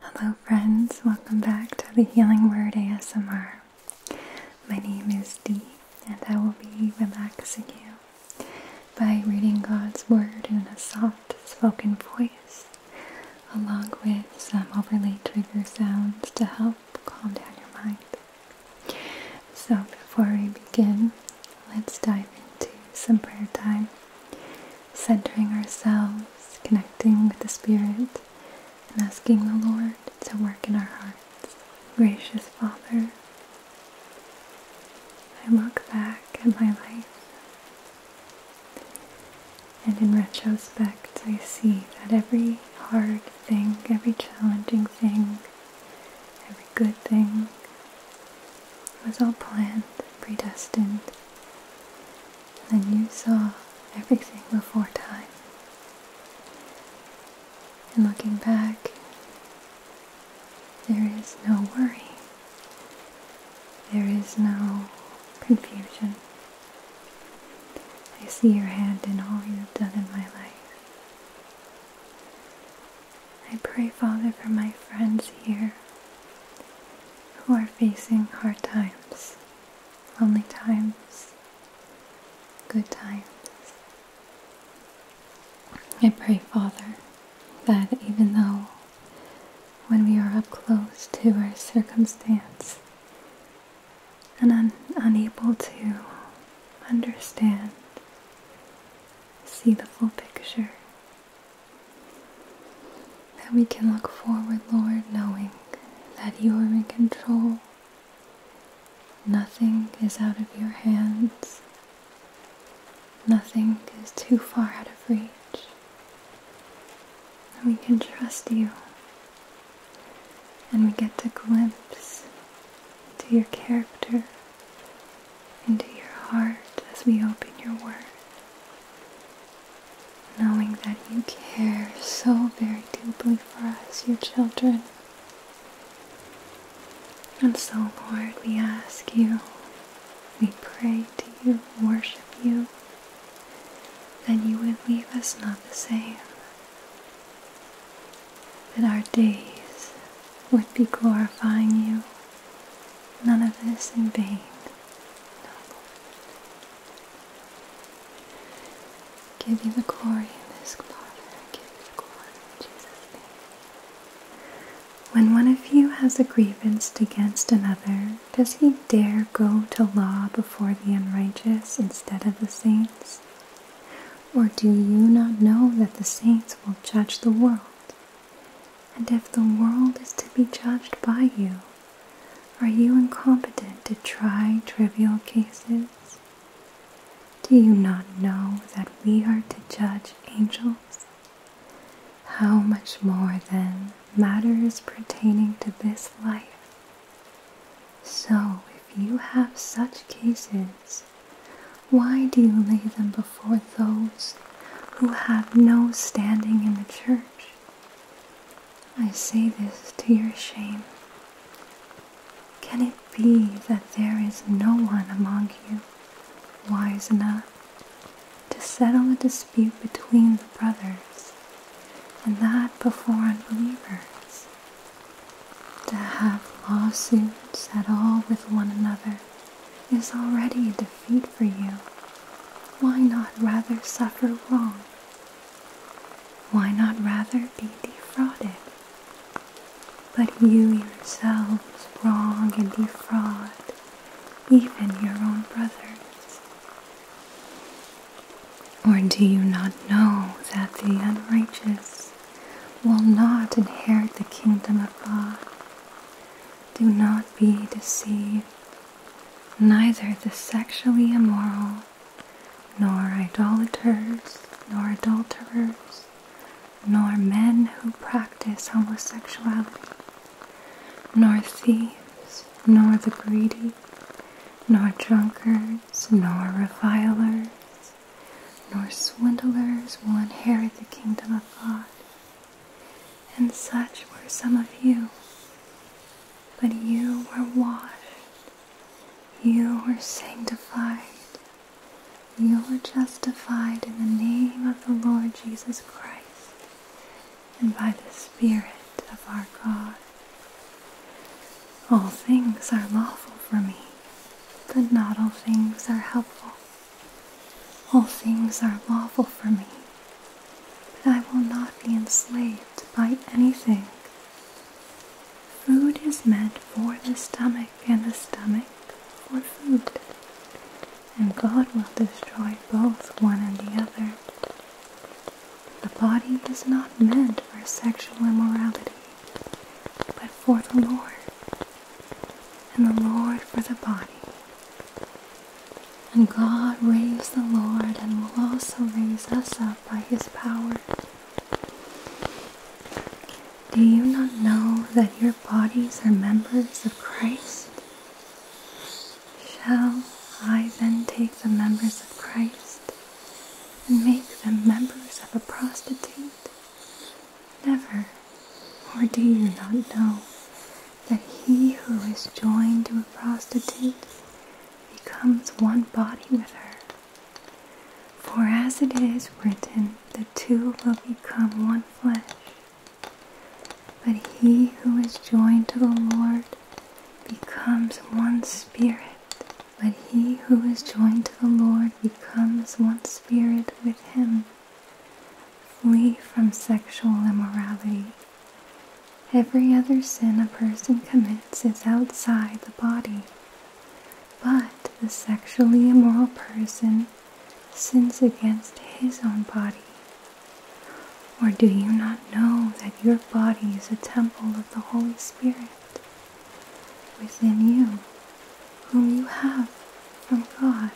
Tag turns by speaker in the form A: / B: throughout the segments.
A: Hello, friends, welcome back to the Healing Word ASMR. My name is Dee, and I will be relaxing you by reading God's Word in a soft spoken voice, along with some overlay trigger sounds to help calm down your mind. So, before we begin, let's dive into some prayer time centering ourselves, connecting with the Spirit, and asking the Lord to work in our hearts. Gracious Father, I look back at my life, and in retrospect, I see that every hard thing, every challenging thing, every good thing was all planned, predestined, and you saw everything before time. And looking back, there is no worry. There is no confusion. I see your hand in all you've done in my life. I pray, Father, for my friends here who are facing hard times, lonely times, good times. I pray, Father, that even though when we are up close to our circumstance and un- unable to understand, see the full picture, that we can look forward, Lord, knowing that you are in control. Nothing is out of your hands. Nothing is too far out of reach. And we can trust you. And we get to glimpse into your character, into your heart as we open your word knowing that you care so very deeply for us, your children. And so, Lord, we ask you, we pray to you, worship you, that you would leave us not the same, that our days would be glorifying you, none of this in vain. No. Give you the glory in this, Father. Give you the glory Jesus' When one of you has a grievance against another, does he dare go to law before the unrighteous instead of the saints? Or do you not know that the saints will judge the world? And if the world is to be judged by you, are you incompetent to try trivial cases? Do you not know that we are to judge angels? How much more, then, matters pertaining to this life? So, if you have such cases, why do you lay them before those who have no standing in the church? I say this to your shame. Can it be that there is no one among you wise enough to settle a dispute between the brothers, and that before unbelievers? To have lawsuits at all with one another is already a defeat. Feed for you, why not rather suffer wrong? Why not rather be defrauded? But you yourselves wrong and defraud even your own brothers. Or do you not know that the unrighteous will not inherit the kingdom of God? Do not be deceived. Neither the sexually immoral, nor idolaters, nor adulterers, nor men who practice homosexuality, nor thieves, nor the greedy, nor drunkards, nor revilers, nor swindlers will inherit the kingdom of God. And such were some of you but you were washed, you were sanctified, you were justified in the name of the Lord Jesus Christ and by the Spirit of our God. All things are lawful for me, but not all things are helpful. All things are lawful for me, but I will not be enslaved by anything. Food is meant for the stomach, and the stomach for food. And God will destroy both one and the other. The body is not meant for sexual immorality, but for the Lord, and the Lord for the body. And God raised the Lord and will also raise us up by his power. Do you not know that your bodies are members of Christ? Shall I then take the members of Christ and make them members of a prostitute? Never. Or do you not know that he who is joined to a prostitute becomes one body with her. For as it is written, the two will become one flesh. But he who is joined to the Lord becomes one spirit. But he who is joined to the Lord becomes one spirit with him. Flee from sexual immorality. Every other sin a person commits is outside the body, but the sexually immoral person sins against his own body. Or do you not know that your body is a temple of the Holy Spirit within you, whom you have from God?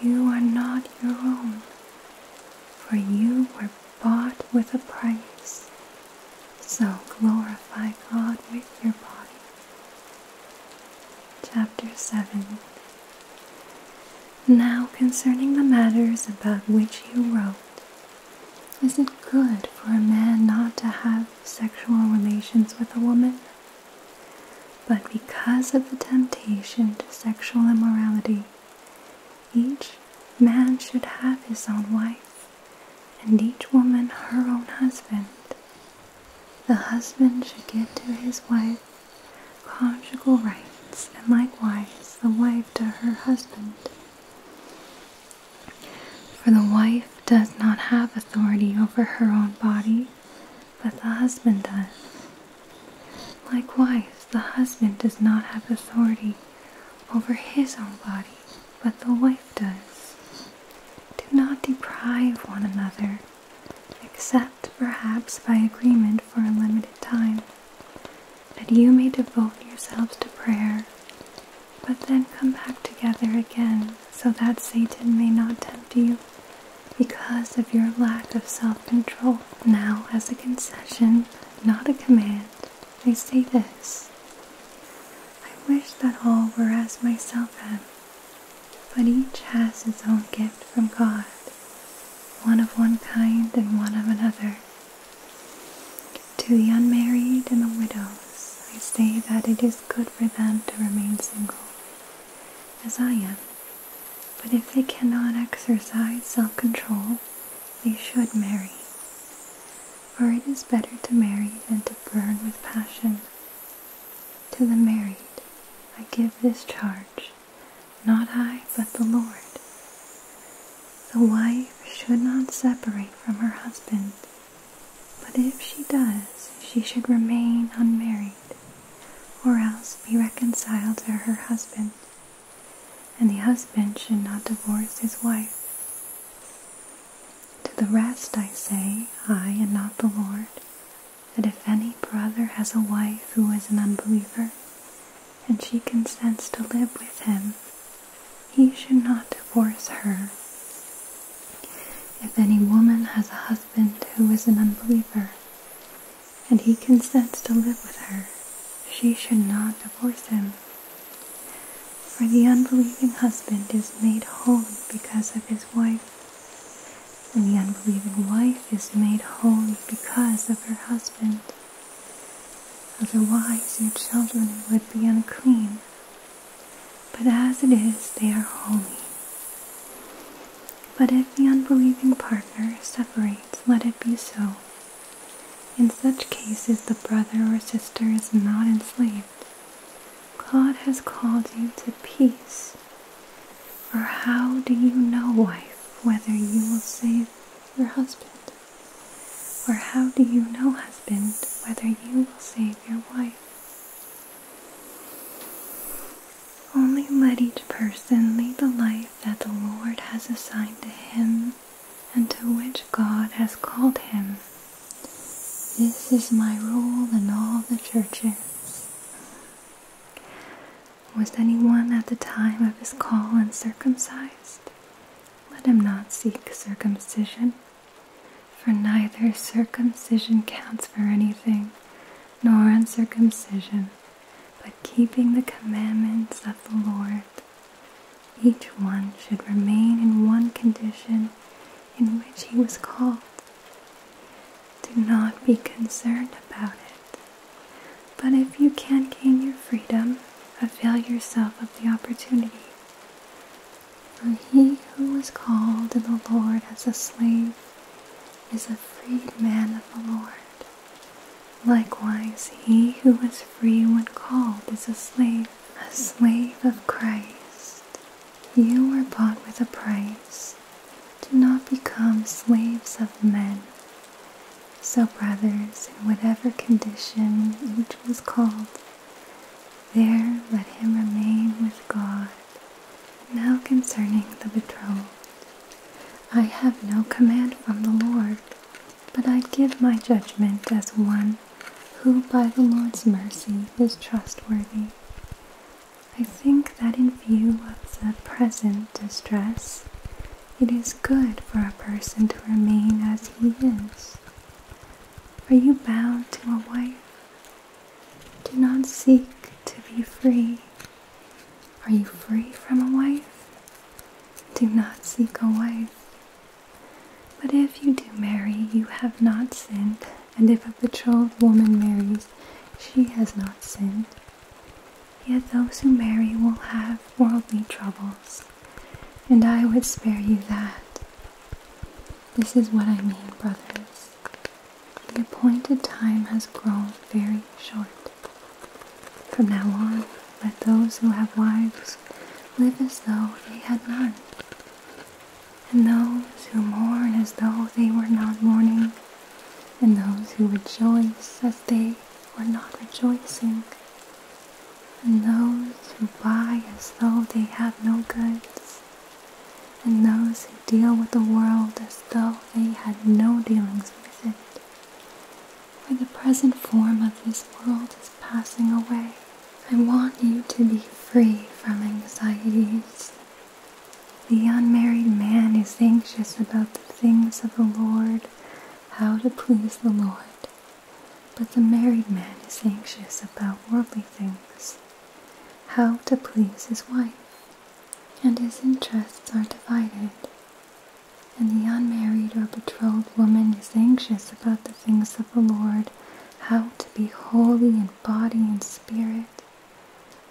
A: You are not your own, for you were bought with a price. So glorify God with your body. Chapter 7 Now concerning the matters about which you wrote, is it good for a man not to have sexual relations with a woman? But because of the temptation to sexual immorality, each man should have his own wife, and each woman her own husband. The husband should give to his wife conjugal rights, and likewise the wife to her husband. For the wife does not have authority over her own body, but the husband does. Likewise, the husband does not have authority over his own body, but the wife does. Do not deprive one another, except perhaps by agreement for a limited time, that you may devote yourselves to prayer, but then come back together again, so that Satan may not tempt you because of your lack of self control. Now, as a concession, not a command, I say this. I wish that all were as myself am, but each has his own gift from God, one of one kind and one of another. To the unmarried and the widows, I say that it is good for them to remain single, as I am. But if they cannot exercise self control, they should marry. For it is better to marry than to burn with passion. To the married, I give this charge, not I, but the Lord. The wife should not separate from her husband, but if she does, she should remain unmarried, or else be reconciled to her husband and the husband should not divorce his wife. To the rest I say, I and not the Lord, that if any brother has a wife who is an unbeliever, and she consents to live with him, he should not divorce her. If any woman has a husband who is an unbeliever, and he consents to live with her, she should not divorce him. For the unbelieving husband is made holy because of his wife, and the unbelieving wife is made holy because of her husband. Otherwise, your children would be unclean. But as it is, they are holy. But if the unbelieving partner separates, let it be so. In such cases, the brother or sister is not enslaved. God has called you to peace. For how do you know, wife, whether you will save your husband? Or how do you know, husband, whether you will save your wife? Only let each person lead a life that the Lord has assigned to him and to which God has called him. This is my rule in all the churches. Was anyone at the time of his call uncircumcised? Let him not seek circumcision, for neither circumcision counts for anything, nor uncircumcision, but keeping the commandments of the Lord. Each one should remain in one condition in which he was called. Do not be concerned about it. But if you can gain your freedom, avail yourself of the opportunity. For he who was called in the Lord as a slave is a freed man of the Lord. Likewise, he who was free when called is a slave, a slave of Christ. You were bought with a price. Do not become slaves of men. So, brothers, in whatever condition each was called, there let him remain with God. Now concerning the betrothed, I have no command from the Lord but I give my judgment as one who by the Lord's mercy is trustworthy. I think that in view of the present distress, it is good for a person to remain as he is. Are you bound to a wife? Do not seek to be free. Are you free from a wife? Do not seek a wife. But if you do marry, you have not sinned, and if a betrothed woman marries, she has not sinned. Yet those who marry will have worldly troubles, and I would spare you that. This is what I mean, brothers. The appointed time has grown very short. From now on, let those who have wives live as though they had none, and those who mourn as though they were not mourning, and those who rejoice as they were not rejoicing, and those who buy as though they have no goods, and those who deal with the world as though they had no dealings with it for the present form of this world is passing away. I want you to be free from anxieties. The unmarried man is anxious about the things of the Lord, how to please the Lord. But the married man is anxious about worldly things, how to please his wife. And his interests are divided. And the unmarried or betrothed woman is anxious about the things of the Lord, how to be holy in body and spirit.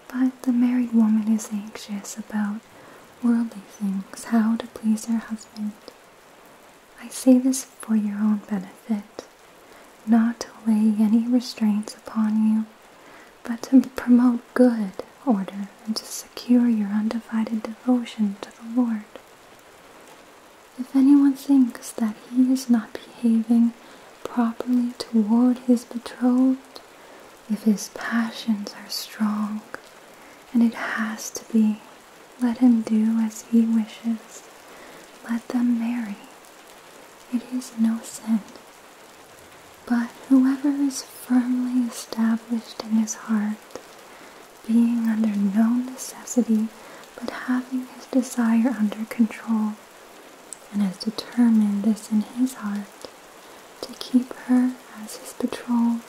A: But the married woman is anxious about worldly things, how to please her husband. I say this for your own benefit, not to lay any restraints upon you, but to promote good order and to secure your undivided devotion to the Lord. If anyone thinks that he is not behaving properly toward his betrothed, if his passions are strong, and it has to be, let him do as he wishes. Let them marry. It is no sin. But whoever is firmly established in his heart being under no necessity, but having his desire under control, and has determined this in his heart to keep her as his betrothed,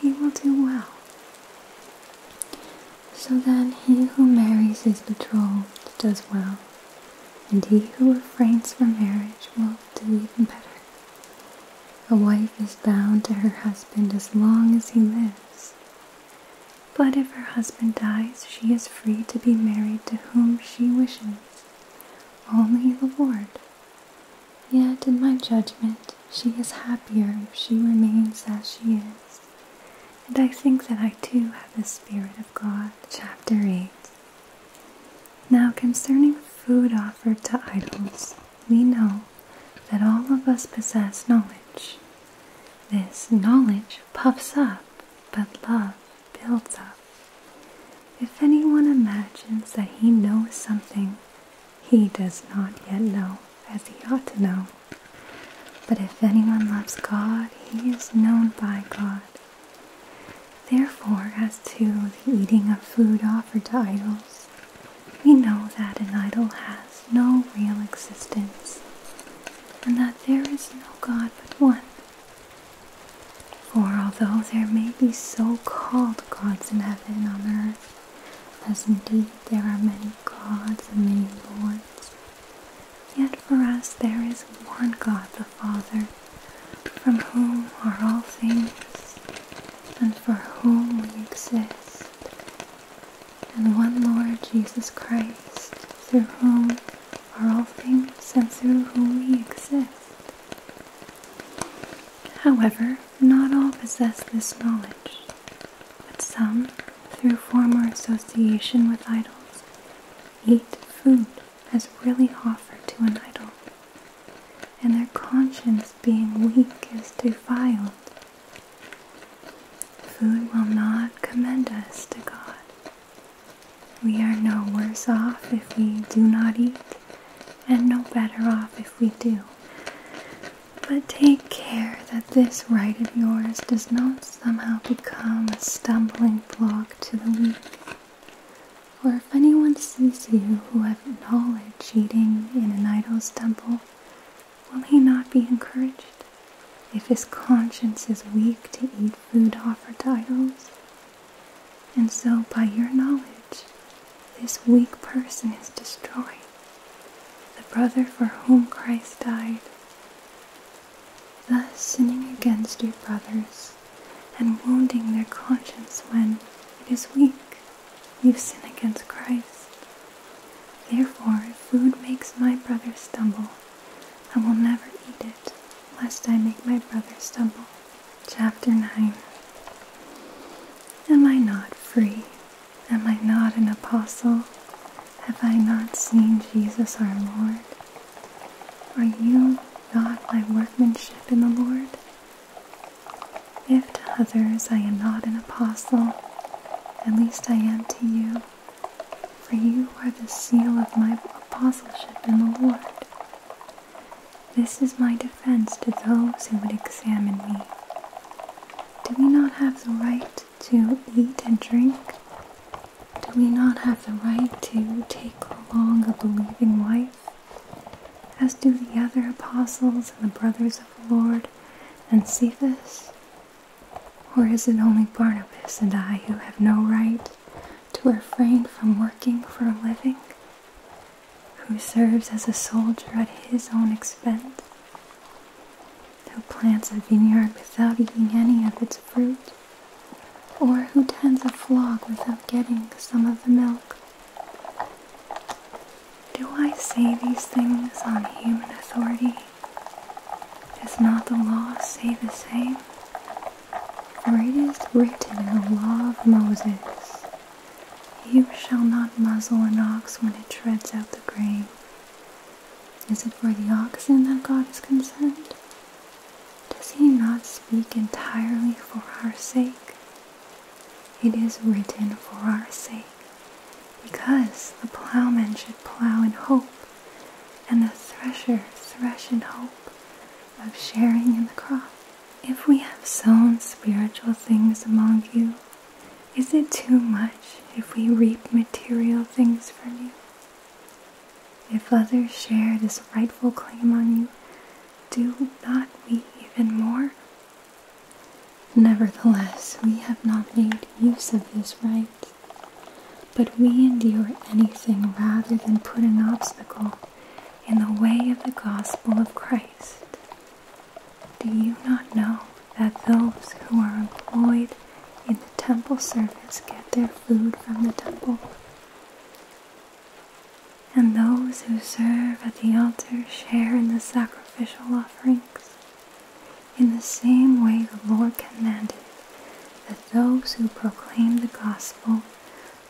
A: he will do well. So then he who marries his betrothed does well, and he who refrains from marriage will do even better. A wife is bound to her husband as long as he lives. But if her husband dies, she is free to be married to whom she wishes, only the Lord. Yet, in my judgment, she is happier if she remains as she is. And I think that I too have the Spirit of God. Chapter 8 Now concerning food offered to idols we know that all of us possess knowledge. This knowledge puffs up, but love builds up. If anyone imagines that he knows something, he does not yet know as he ought to know. But if anyone loves God, he is known by God. Therefore, as to the eating of food offered to idols, we know that an idol has no real existence, and that there is no God but one. For although there may be so called gods in heaven and on earth, as indeed there are many gods and many lords, yet for us there is one God the Father, from whom are all things, and for whom we exist, and one Lord Jesus Christ, through whom are all things and through whom we exist. However, not all possess this knowledge, but some, through former association with idols, eat food as really offered to an idol and their conscience being weak is defiled. Food will not commend us to God. We are no worse off if we do not eat, and no better off if we do. But take care that this right of yours does not somehow become a stumbling block to the weak. Or if anyone sees you who has Knowledge eating in an idol's temple, will he not be encouraged, if his conscience is weak to eat food offered to idols? And so, by your knowledge, this weak person is destroyed, the brother for whom Christ died. Thus, sinning against your brothers and wounding their conscience when it is weak. You sin against Christ. Therefore, if food makes my brother stumble, I will never eat it, lest I make my brother stumble. Chapter 9 Am I not free? Am I not an apostle? Have I not seen Jesus our Lord? Are you not my workmanship in the Lord? If to others I am not an apostle, at least I am to you, for you are the seal of my apostleship in the Lord. This is my defense to those who would examine me. Do we not have the right to eat and drink? Do we not have the right to take along a believing wife? as do the other apostles and the brothers of the Lord and Cephas? Or is it only Barnabas and I who have no right to refrain from working for a living? Who serves as a soldier at his own expense? Who plants a vineyard without eating any of its fruit? Or who tends a flock without getting some of the milk? Do I say these things on human authority? Is not the law say the same? For it is written in the law of Moses, You shall not muzzle an ox when it treads out the grain. Is it for the oxen that God is concerned? Does he not speak entirely for our sake? It is written for our sake, because the plowman should plow in hope, and the thresher thresh in hope of sharing in the crop. If we have sown spiritual things among you, is it too much if we reap material things from you? If others share this rightful claim on you, do not we even more? Nevertheless, we have not made use of this right. But we endure anything rather than put an obstacle in the way of the gospel of Christ. Do you not know that those who are employed in the temple service get their food from the temple? and those who serve at the altar share in the sacrificial offerings. In the same way the Lord commanded that those who proclaim the gospel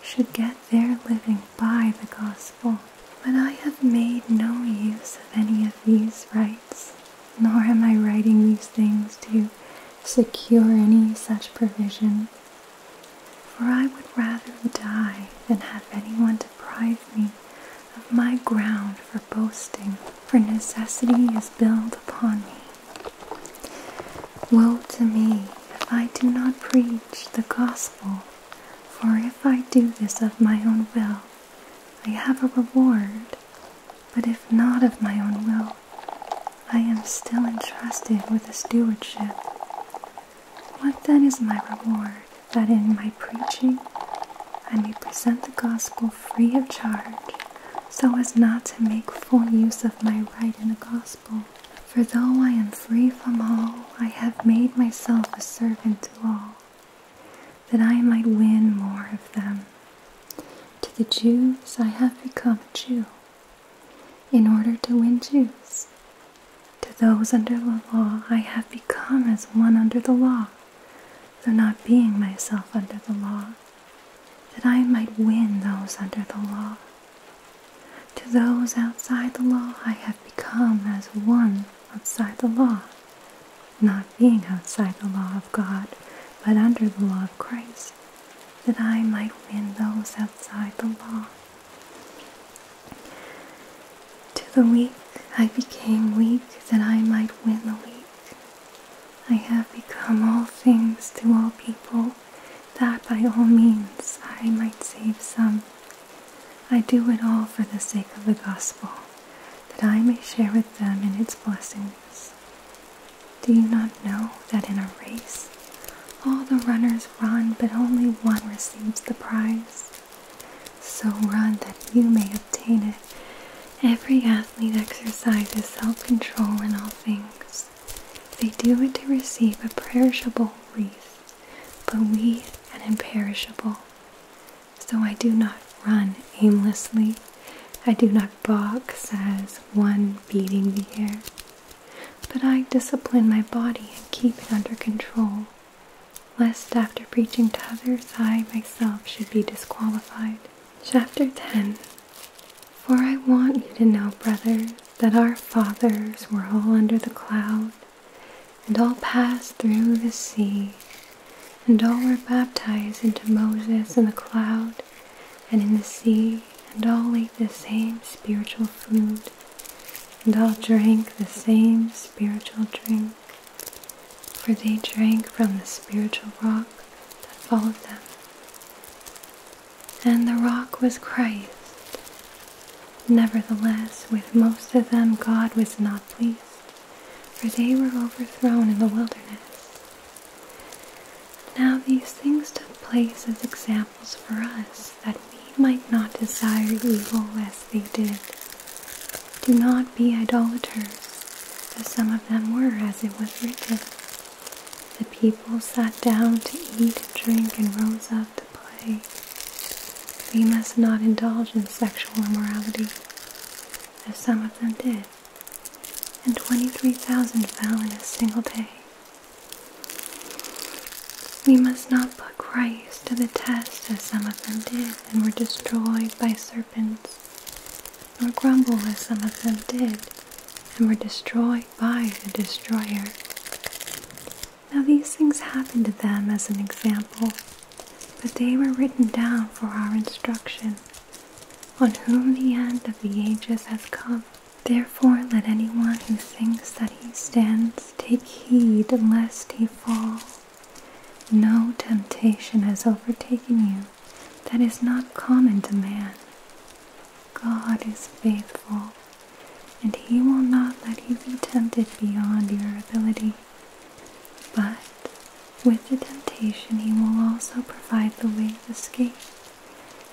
A: should get their living by the gospel. But I have made no use of any of these rights, nor am I writing these things to secure any such provision. For I would rather die than have anyone deprive me of my ground for boasting, for necessity is built upon me. Woe to me if I do not preach the gospel, for if I do this of my own will, I have a reward, but if not of my own will, I am still entrusted with a stewardship. What then is my reward? that in my preaching I may present the gospel free of charge, so as not to make full use of my right in the gospel. For though I am free from all, I have made myself a servant to all, that I might win more of them. To the Jews I have become a Jew, in order to win Jews. To those under the law, I have become as one under the law, though not being myself under the law, that I might win those under the law. To those outside the law, I have become as one outside the law, not being outside the law of God, but under the law of Christ, that I might win those outside the law. To the weak I became weak that I might win the weak. I have become all things to all people, that by all means I might save some. I do it all for the sake of the gospel, that I may share with them in its blessings. Do you not know that in a race all the runners run, but only one receives the prize? So run that you may obtain it. Every athlete exercises self control in all things. They do it to receive a perishable wreath, but we an imperishable. So I do not run aimlessly. I do not box as one beating the air, but I discipline my body and keep it under control lest after preaching to others I myself should be disqualified. Chapter 10 For I want you to know, brothers, that our fathers were all under the cloud, and all passed through the sea, and all were baptized into Moses in the cloud and in the sea, and all ate the same spiritual food, and all drank the same spiritual drink for they drank from the spiritual rock that followed them. And the rock was Christ. Nevertheless, with most of them God was not pleased, for they were overthrown in the wilderness. Now these things took place as examples for us, that we might not desire evil as they did. Do not be idolaters, as some of them were, as it was written. The people sat down to eat and drink and rose up to play. We must not indulge in sexual immorality, as some of them did, and 23,000 fell in a single day. We must not put Christ to the test as some of them did and were destroyed by serpents, nor grumble as some of them did, and were destroyed by the destroyer. Now these things happened to them as an example, but they were written down for our instruction, on whom the end of the ages has come. Therefore let anyone who thinks that he stands take heed lest he fall. No temptation has overtaken you that is not common to man. God is faithful, and He will not let you be tempted beyond your ability. But with the temptation, He will also provide the way of escape,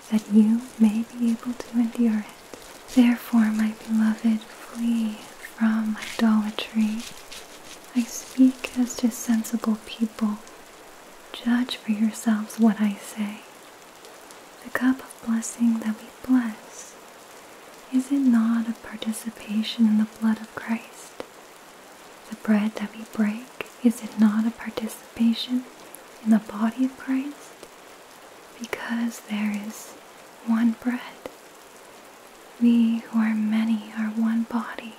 A: that you may be able to endure it. Therefore, my beloved, flee from idolatry. I speak as to sensible people. Judge for yourselves what I say. The cup of blessing that we bless, is it not a participation in the blood of Christ? The bread that we break, is it not a participation in the body of Christ? Because there is one bread, we who are many are one body,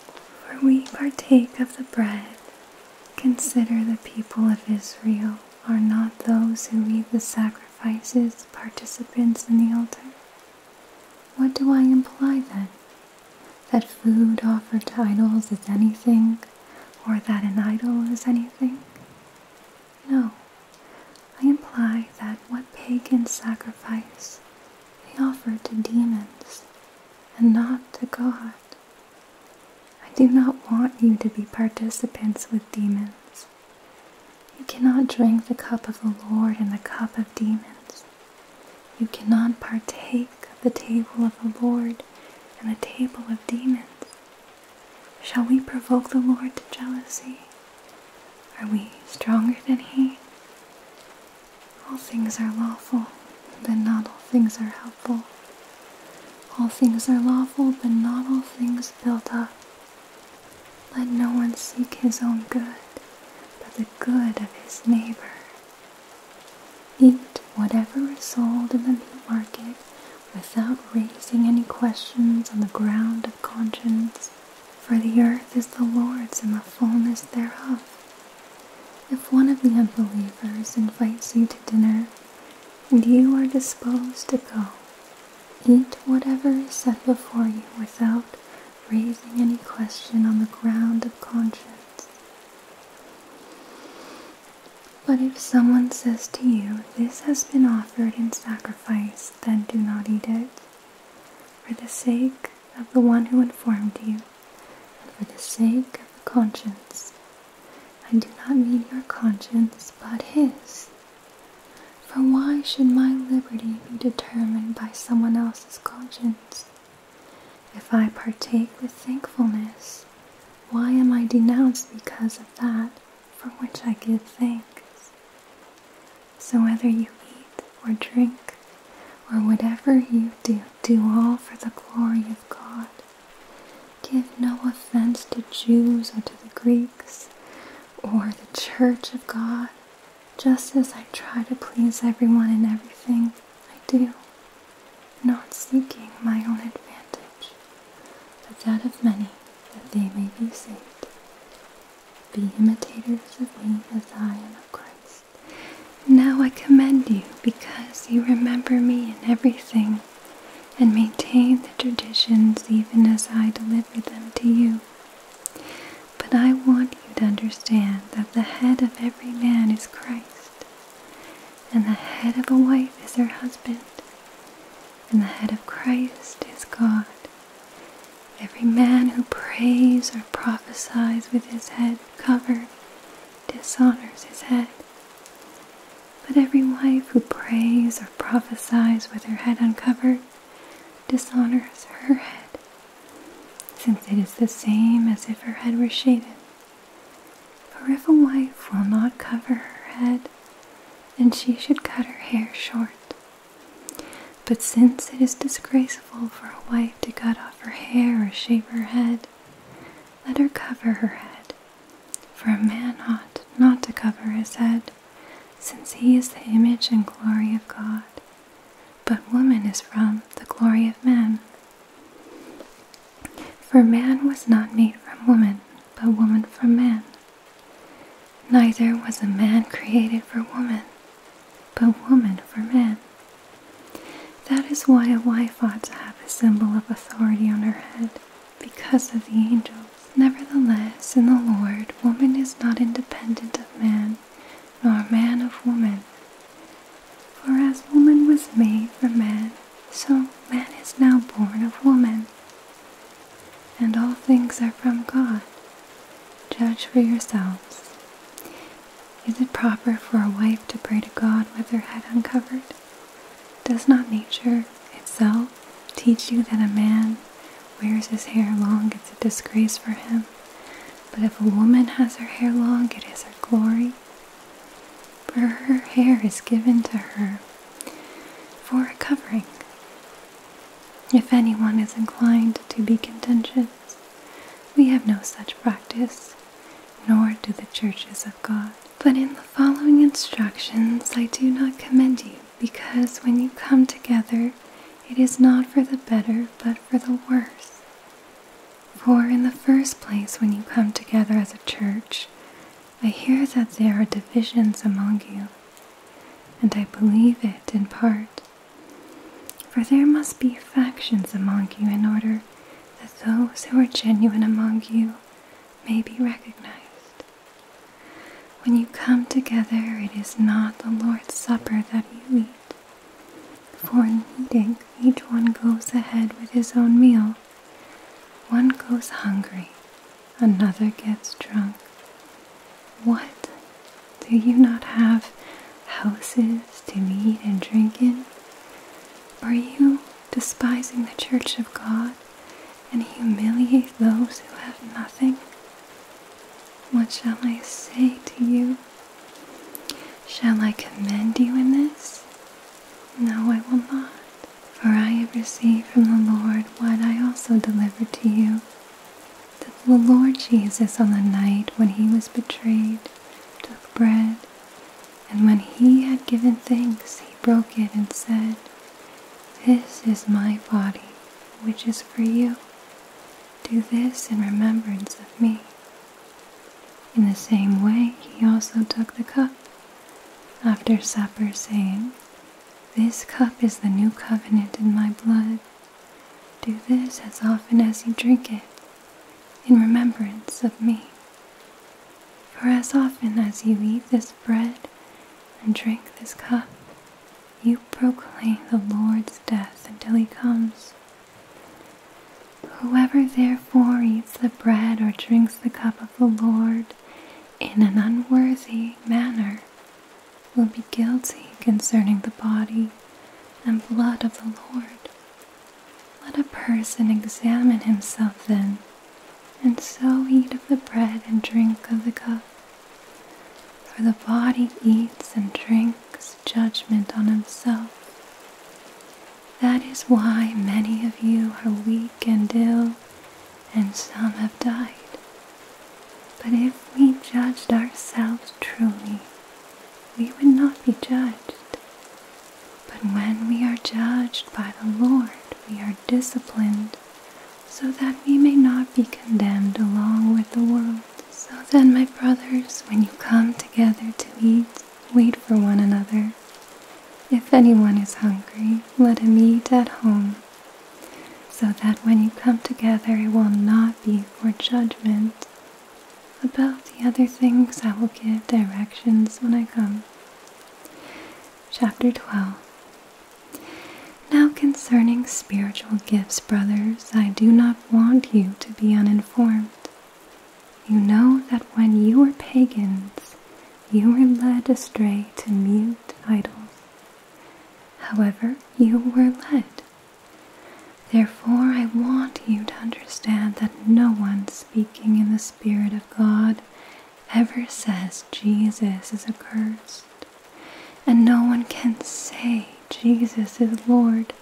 A: for we partake of the bread. Consider the people of Israel are not those who eat the sacrifices participants in the altar. What do I imply then? That food offered to idols is anything, or that an idol is anything? No, I imply that what pagan sacrifice they offered to demons and not to God. I do not want you to be participants with demons. You cannot drink the cup of the Lord and the cup of demons. You cannot partake of the table of the Lord and the table of demons. Shall we provoke the Lord to jealousy? Are we stronger than he? All things are lawful, but not all things are helpful. All things are lawful, but not all things build up. Let no one seek his own good, but the good of his neighbor. Eat whatever is sold in the meat market without raising any questions on the ground of conscience. For the earth is the Lord's and the fullness thereof. If one of the unbelievers invites you to dinner, and you are disposed to go, eat whatever is set before you without raising any question on the ground of conscience. But if someone says to you, This has been offered in sacrifice, then do not eat it for the sake of the one who informed you, and for the sake of the conscience. I do not mean your conscience, but his. For why should my liberty be determined by someone else's conscience? If I partake with thankfulness, why am I denounced because of that for which I give thanks? So whether you eat or drink or whatever you do, do all for the glory of God. Give no offense to Jews or to the Greeks or the church of God, just as I try to please everyone in everything I do, not seeking my own advantage, but that of many, that they may be saved. Be imitators of me as I am of Christ. Now I commend you because you remember me in everything and maintain the traditions even as I delivered them to you. But I want you to understand that the head of every man is Christ, and the head of a wife is her husband, and the head of Christ is God. Every man who prays or prophesies with his head covered dishonors his head. But every wife who prays or prophesies with her head uncovered dishonors her head, since it is the same as if her head were shaded. For if a wife will not cover her head, then she should cut her hair short. But since it is disgraceful for a wife to cut off her hair or shave her head, let her cover her head. For a man ought not to cover his head, since he is the image and glory of God. But woman is from the glory of man. For man was not made from woman, but woman from man. Neither was a man created for woman, but woman for man. That is why a wife ought to have a symbol of authority on her head, because of the angels. Nevertheless, in the Lord, woman is not independent of man, nor man of woman. For as woman was made for man, so man is now born of woman and all things are from God. Judge for yourselves. Is it proper for a wife to pray to God with her head uncovered? Does not nature itself teach you that a man wears his hair long, it's a disgrace for him? But if a woman has her hair long, it is her glory. For her hair is given to her for a covering, if anyone is inclined to be contentious, we have no such practice, nor do the churches of God. But in the following instructions I do not commend you, because when you come together, it is not for the better, but for the worse. For in the first place, when you come together as a church, I hear that there are divisions among you, and I believe it in part. For there must be factions among you in order that those who are genuine among you may be recognized. When you come together, it is not the Lord's Supper that you eat. For in eating, each one goes ahead with his own meal. One goes hungry, another gets drunk, what? Do you not have houses to eat and drink in? Are you despising the church of God and humiliate those who have nothing? What shall I say to you? Shall I commend you in this? No, I will not. For I have received from the Lord what I also delivered to you that the Lord Jesus, on the night when he was betrayed, took bread, and when he had given thanks, he broke it and said, This is my body, which is for you. Do this in remembrance of me. In the same way, he also took the cup after supper, saying, This cup is the new covenant in my blood. Do this as often as you drink it, in remembrance of me. For as often as you eat this bread and drink this cup, you proclaim the Lord's death until he comes. Whoever therefore eats the bread or drinks the cup of the Lord in an unworthy manner will be guilty concerning the body and blood of the Lord. Let a person examine himself then, and so eat of the bread and drink of the cup. For the body eats and drinks judgment on himself. That is why many of you are weak and ill, and some have died. But if we judged ourselves truly, we would not be judged. But when we are judged by the Lord, we are disciplined so that we may not be condemned along with the world. So then, my brothers, when you come together to eat, wait for one another. If anyone is hungry, let him eat at home so that when you come together, it will not be for judgment. About the other things, I will give directions when I come. Chapter 12 Now concerning spiritual gifts, brothers, I do not want you to be uninformed. You know that when you were pagans, you were led astray to mute idols. However, you were led Therefore, I want you to understand that no one speaking in the Spirit of God ever says Jesus is accursed, and no one can say Jesus is Lord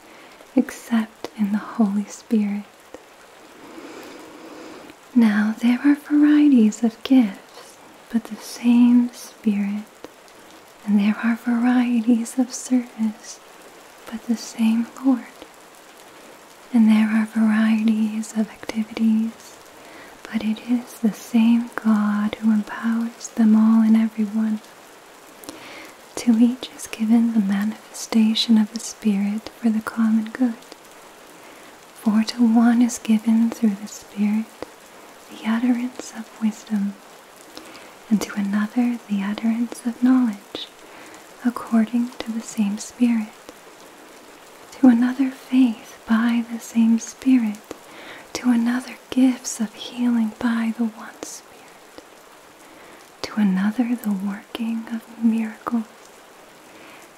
A: except in the Holy Spirit. Now, there are varieties of gifts, but the same Spirit and there are varieties of service, but the same Lord. And there are varieties of activities, but it is the same God who empowers them all and everyone. To each is given the manifestation of the Spirit for the common good. For to one is given through the Spirit the utterance of wisdom and to another the utterance of knowledge, according to the same Spirit, to another faith by the same Spirit, to another gifts of healing by the one Spirit, to another the working of miracles,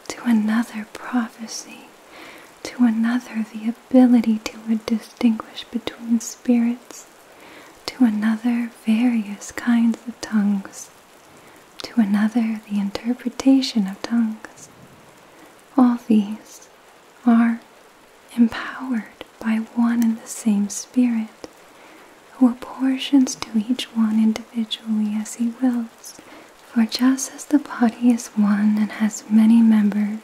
A: to another prophecy, to another the ability to distinguish between spirits, to another, various kinds of tongues, to another, the interpretation of tongues. All these are empowered by one and the same Spirit, who apportions to each one individually as he wills. For just as the body is one and has many members,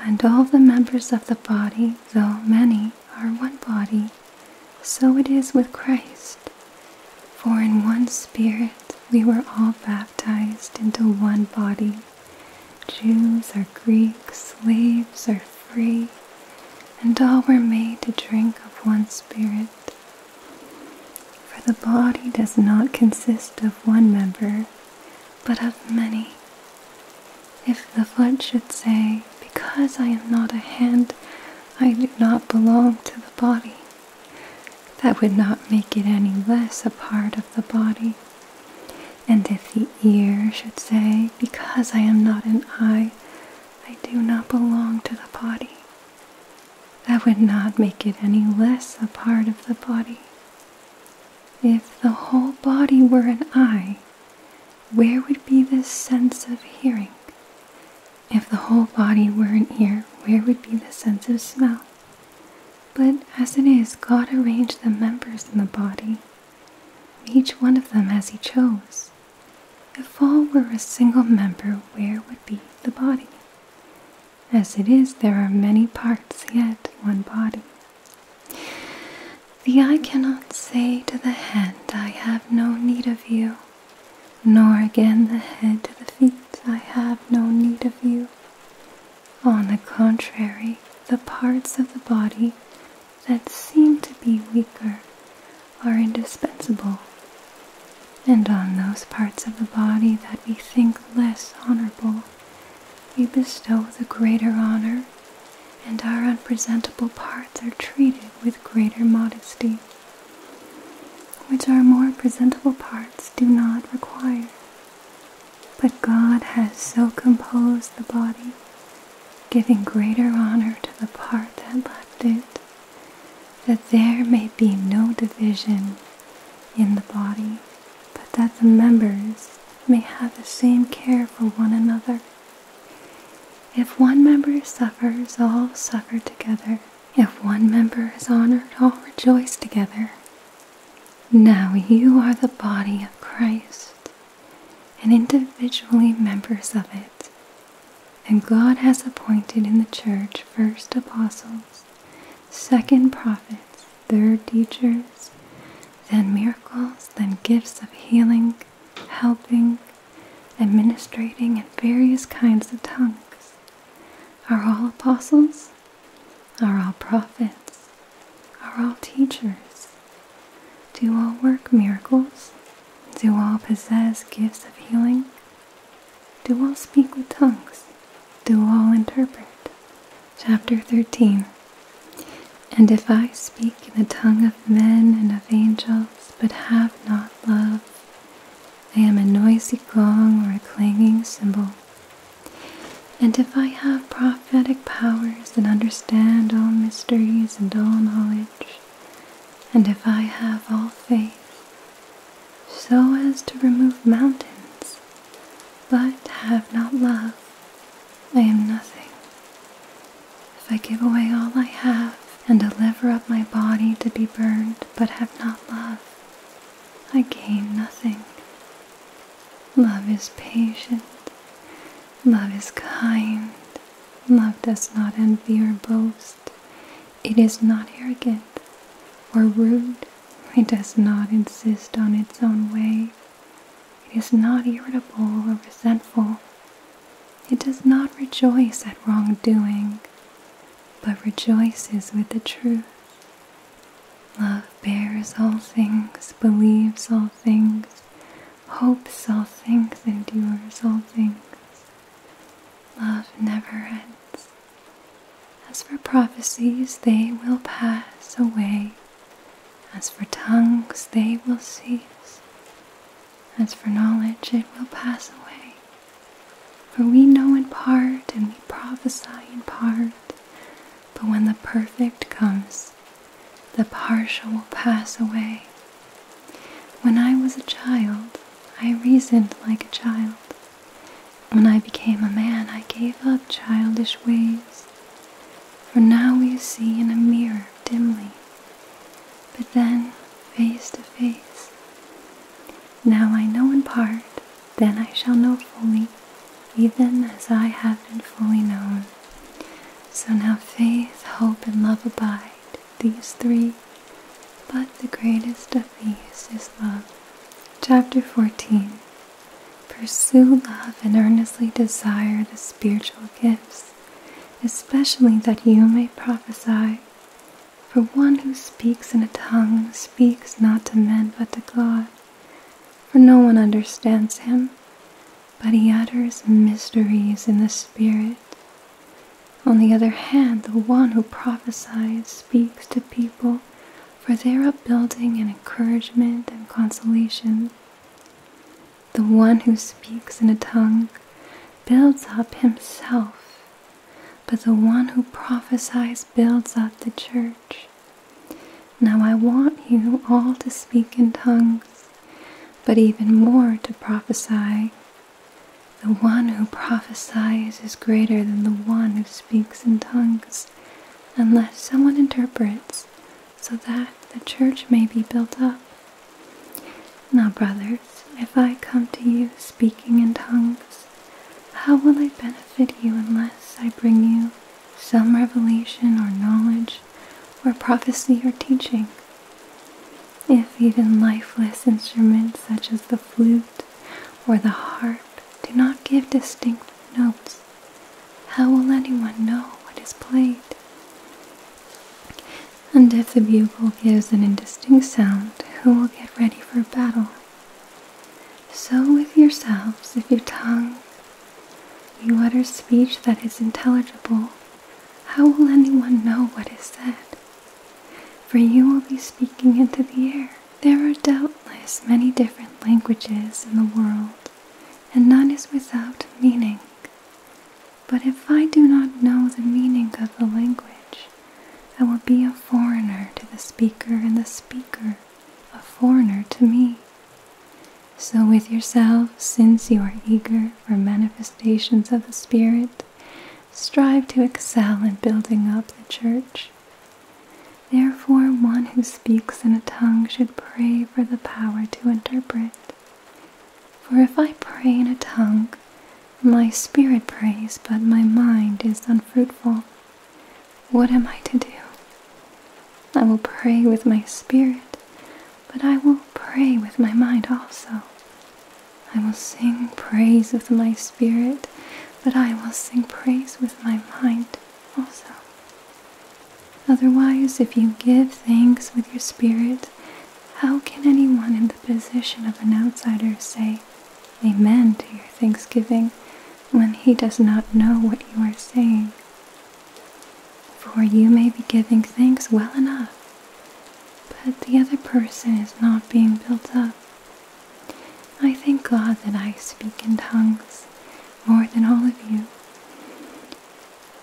A: and all the members of the body, though many, are one body. So it is with Christ. For in one Spirit we were all baptized into one body. Jews or Greeks, slaves or free, and all were made to drink of one Spirit. For the body does not consist of one member, but of many. If the foot should say, Because I am not a hand, I do not belong to the body, that would not make it any less a part of the body. And if the ear should say, Because I am not an eye, I do not belong to the body, that would not make it any less a part of the body. If the whole body were an eye, where would be the sense of hearing? If the whole body were an ear, where would be the sense of smell? But as it is, God arranged the members in the body, each one of them as He chose. If all were a single member, where would be the body? As it is, there are many parts, yet one body. The eye cannot say to the hand, I have no need of you, nor again the head to the feet, I have no need of you. On the contrary, the parts of the body that seem to be weaker are indispensable, and on those parts of the body that we think less honorable, we bestow the greater honor, and our unpresentable parts are treated with greater modesty, which our more presentable parts do not require. But God has so composed the body, giving greater honor to the part that left it, that there may be no division in the body, but that the members may have the same care for one another. If one member suffers, all suffer together. If one member is honored, all rejoice together. Now you are the body of Christ, and individually members of it. And God has appointed in the church first apostles, second prophets, their teachers, then miracles, then gifts of healing, helping, administrating, and various kinds of tongues. Are all apostles? Are all prophets? Are all teachers? Do all work miracles? Do all possess gifts of healing? Do all speak with tongues? Do all interpret? chapter 13. And if I speak in the tongue of men and of angels, but have not love, I am a noisy gong or a clanging cymbal. And if I have prophetic powers and understand all mysteries and all knowledge, and if I have all faith, so as to remove mountains, but have not love, I am nothing. If I give away all I have and deliver up my body to be burned but have not love, I gain nothing. Love is patient. Love is kind. Love does not envy or boast. It is not arrogant or rude. It does not insist on its own way. It is not irritable or resentful. It does not rejoice at wrongdoing, but rejoices with the truth. Love bears all things, believes all things, hopes all things, endures all things. Love never ends. As for prophecies, they will pass away. As for tongues, they will cease. As for knowledge, it will pass away. For we know in part, and we prophesy in part. But when the perfect comes, the partial will pass away. When I was a child, I reasoned like a child. When I became a man, I gave up childish ways. For now we see in a mirror dimly, but then face to face. Now I know in part, then I shall know fully, even as I have been fully known. So now faith, hope, and love abide, these three, but the greatest of these is love. Chapter 14 Pursue love and earnestly desire the spiritual gifts, especially that you may prophesy. For one who speaks in a tongue speaks not to men but to God, for no one understands him, but he utters mysteries in the Spirit. On the other hand, the one who prophesies speaks to people for their upbuilding and encouragement and consolation. The one who speaks in a tongue builds up himself, but the one who prophesies builds up the church. Now I want you all to speak in tongues, but even more to prophesy. The one who prophesies is greater than the one who speaks in tongues, unless someone interprets, so that the church may be built up. Now, brothers, if I come to you speaking in tongues, how will I benefit you unless I bring you some revelation or knowledge or prophecy or teaching? If even lifeless instruments such as the flute or the harp do not give distinct notes, how will anyone know what is played? And if the bugle gives an indistinct sound, who will get ready for battle? So with yourselves, if your tongue you utter speech that is intelligible, how will anyone know what is said? For you will be speaking into the air. There are doubtless many different languages in the world, and none is without meaning. But if I do not know the meaning of the language, I will be a foreigner to the speaker, and the speaker a foreigner to me. So, with yourself, since you are eager for manifestations of the Spirit, strive to excel in building up the church. Therefore, one who speaks in a tongue should pray for the power to interpret. For if I pray in a tongue, my spirit prays, but my mind is unfruitful. What am I to do? I will pray with my spirit, but I will pray with my mind also. I will sing praise with my spirit, but I will sing praise with my mind also. Otherwise, if you give thanks with your spirit, how can anyone in the position of an outsider say amen to your thanksgiving when he does not know what you are saying? For you may be giving thanks well enough, but the other person is not being built up. I thank God that I speak in tongues more than all of you.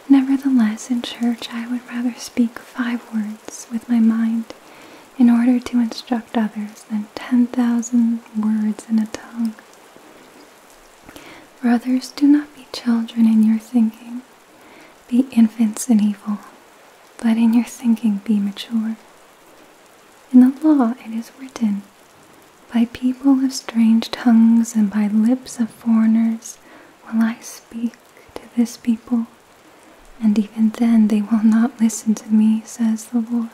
A: Nevertheless, in church, I would rather speak five words with my mind in order to instruct others than 10,000 words in a tongue. Brothers, do not be children in your thinking, be infants in evil, but in your thinking be mature. In the law it is written, by people of strange tongues and by lips of foreigners will I speak to this people, and even then they will not listen to me, says the Lord.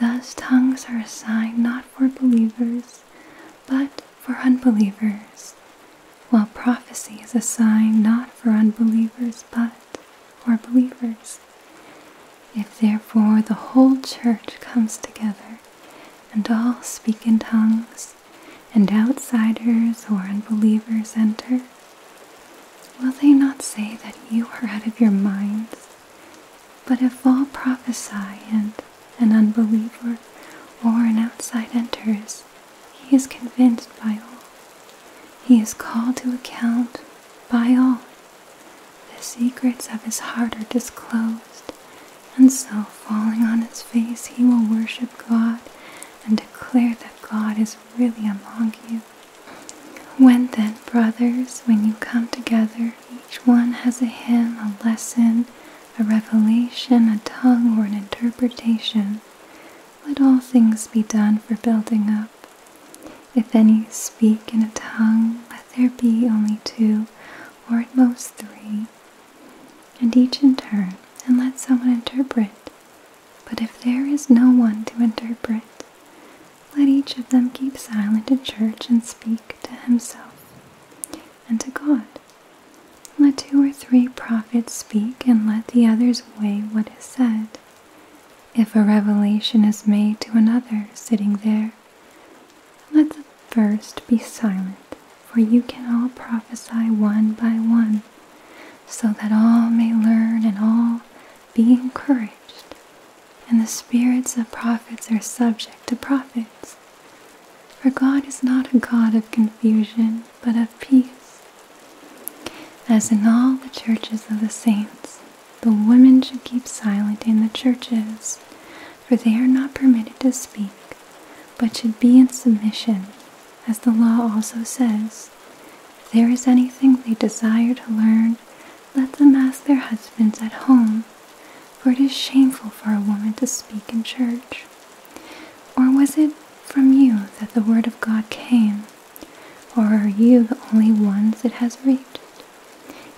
A: Thus tongues are a sign not for believers, but for unbelievers, while prophecy is a sign not for unbelievers, but for believers. If therefore the whole church comes together and all speak in tongues, and outsiders or unbelievers enter? Will they not say that you are out of your minds? But if all prophesy and an unbeliever or an outsider enters, he is convinced by all. He is called to account by all. The secrets of his heart are disclosed, and so, falling on his face, he will worship God and declare that God is really among you. When then, brothers, when you come together, each one has a hymn, a lesson, a revelation, a tongue, or an interpretation. Let all things be done for building up. If any speak in a tongue, let there be only two, or at most three, and each in turn, and let someone interpret. But if there is no one to interpret, let each of them keep silent in church and speak to himself and to God. Let two or three prophets speak, and let the others weigh what is said. If a revelation is made to another sitting there, let the first be silent, for you can all prophesy one by one, so that all may learn and all be encouraged. And the spirits of prophets are subject to prophets. For God is not a God of confusion, but of peace. As in all the churches of the saints, the women should keep silent in the churches, for they are not permitted to speak, but should be in submission, as the law also says. If there is anything they desire to learn, let them ask their husbands at home, for it is shameful for a woman to speak in church. Or was it from you that the word of God came? Or are you the only ones it has reached?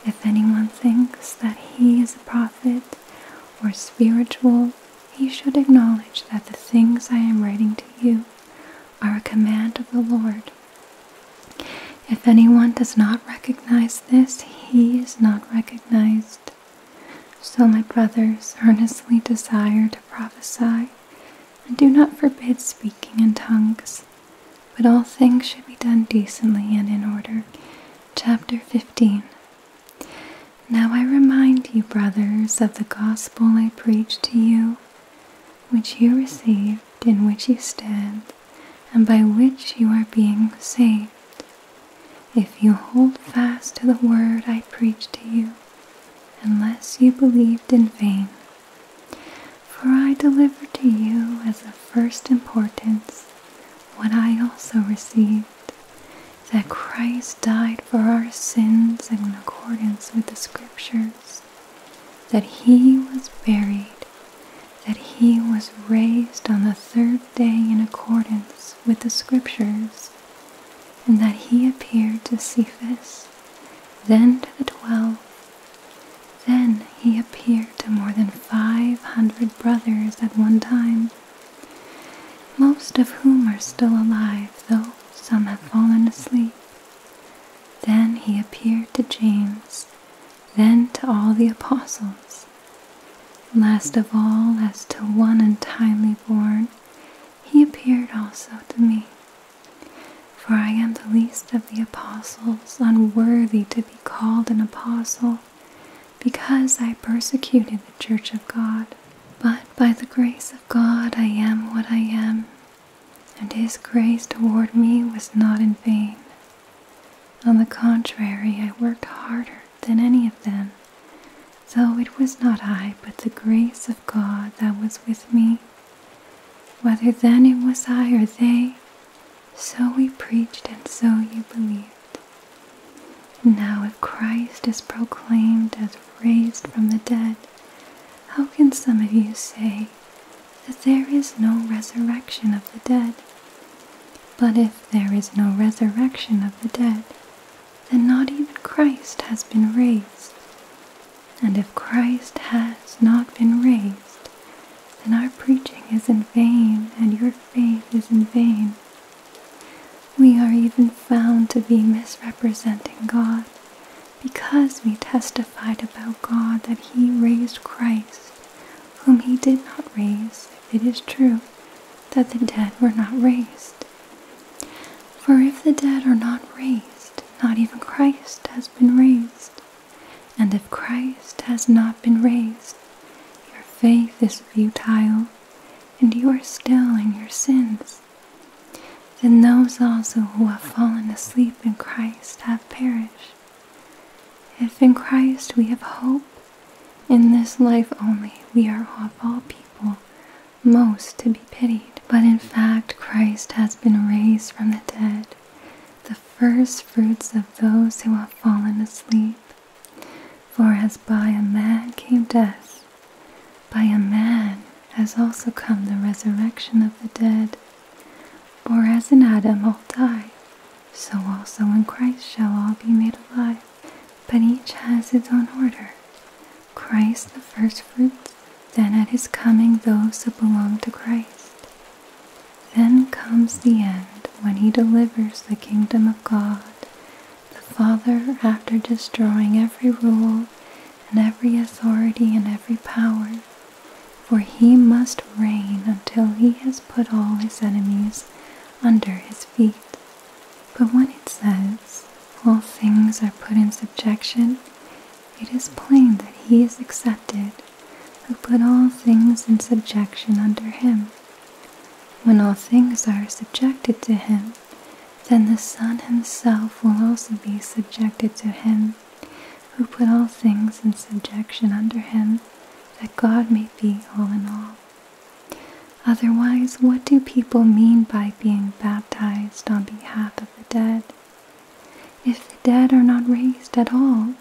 A: If anyone thinks that he is a prophet, or spiritual, he should acknowledge that the things I am writing to you are a command of the Lord. If anyone does not recognize this, he is not recognized. So, my brothers, earnestly desire to prophesy, and do not forbid speaking in tongues, but all things should be done decently and in order. Chapter 15 now I remind you, brothers, of the gospel I preached to you, which you received, in which you stand, and by which you are being saved, if you hold fast to the word I preached to you, unless you believed in vain. For I delivered to you as of first importance what I also received that Christ died for our sins in accordance with the Scriptures, that He was buried, that He was raised on the third day in accordance with the Scriptures, and that He appeared to Cephas, then to the twelve. Then He appeared to more than five hundred brothers at one time most of whom are still alive, though some have fallen asleep. Then he appeared to James, then to all the apostles. Last of all, as to one untimely born, he appeared also to me. For I am the least of the apostles, unworthy to be called an apostle, because I persecuted the church of God. But by the grace of God I am what I am, and His grace toward me was not in vain. On the contrary, I worked harder than any of them, though it was not I, but the grace of God that was with me. Whether then it was I or they, so we preached, and so you believed. Now, if Christ is proclaimed as raised from the dead, how can some of you say that there is no resurrection of the dead? But if there is no resurrection of the dead, then not even Christ has been raised. And if Christ has not been raised, then our preaching is in vain and your faith is in vain. We are even found to be misrepresenting God because we testified about God that He raised Christ, whom He did not raise, if it is true that the dead were not raised. For if the dead are not raised, not even Christ has been raised. And if Christ has not been raised, your faith is futile and you are still in your sins. Then those also who have fallen asleep in Christ have perished. If in Christ we have hope, in this life only we are of all people most to be pitied. But in fact, Christ has been raised from the dead, the firstfruits of those who have fallen asleep. For as by a man came death, by a man has also come the resurrection of the dead. For as in Adam all die, so also in Christ shall all be made alive. But each has its own order Christ the firstfruits, then at his coming those that belong to Christ. Then comes the end when he delivers the kingdom of God the Father, after destroying every rule and every authority and every power, for he must reign until he has put all his enemies under his feet. But when it says, all things are put in subjection, it is plain that he is accepted who put all things in subjection under him. When all things are subjected to him, then the Son himself will also be subjected to him, who put all things in subjection under him, that God may be all in all. Otherwise, what do people mean by being baptized on behalf of the dead? If the dead are not raised at all,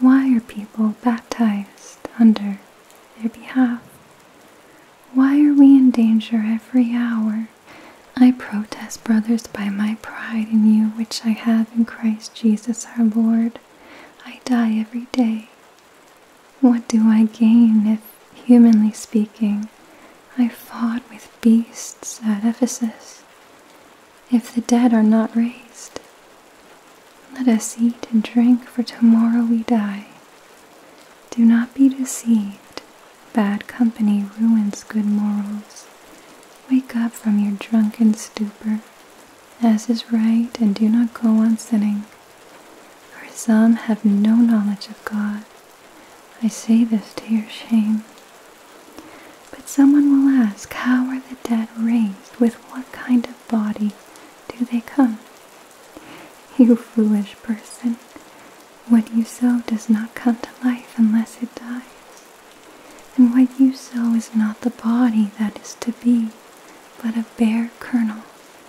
A: why are people baptized under their behalf. Why are we in danger every hour? I protest, brothers, by my pride in you, which I have in Christ Jesus our Lord. I die every day. What do I gain if, humanly speaking, I fought with beasts at Ephesus? If the dead are not raised, let us eat and drink, for tomorrow we die. Do not be deceived. Bad company ruins good morals. Wake up from your drunken stupor, as is right, and do not go on sinning. For some have no knowledge of God. I say this to your shame. But someone will ask, How are the dead raised? With what kind of body do they come? You foolish person, what you sow does not come to life unless it dies. And what you sow is not the body that is to be, but a bare kernel,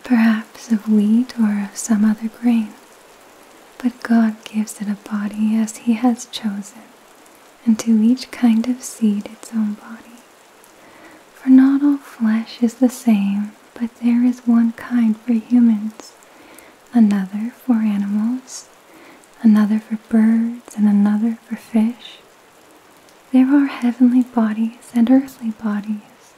A: perhaps of wheat or of some other grain. But God gives it a body as He has chosen, and to each kind of seed its own body. For not all flesh is the same, but there is one kind for humans, another for animals, another for birds, and another for fish. There are heavenly bodies and earthly bodies,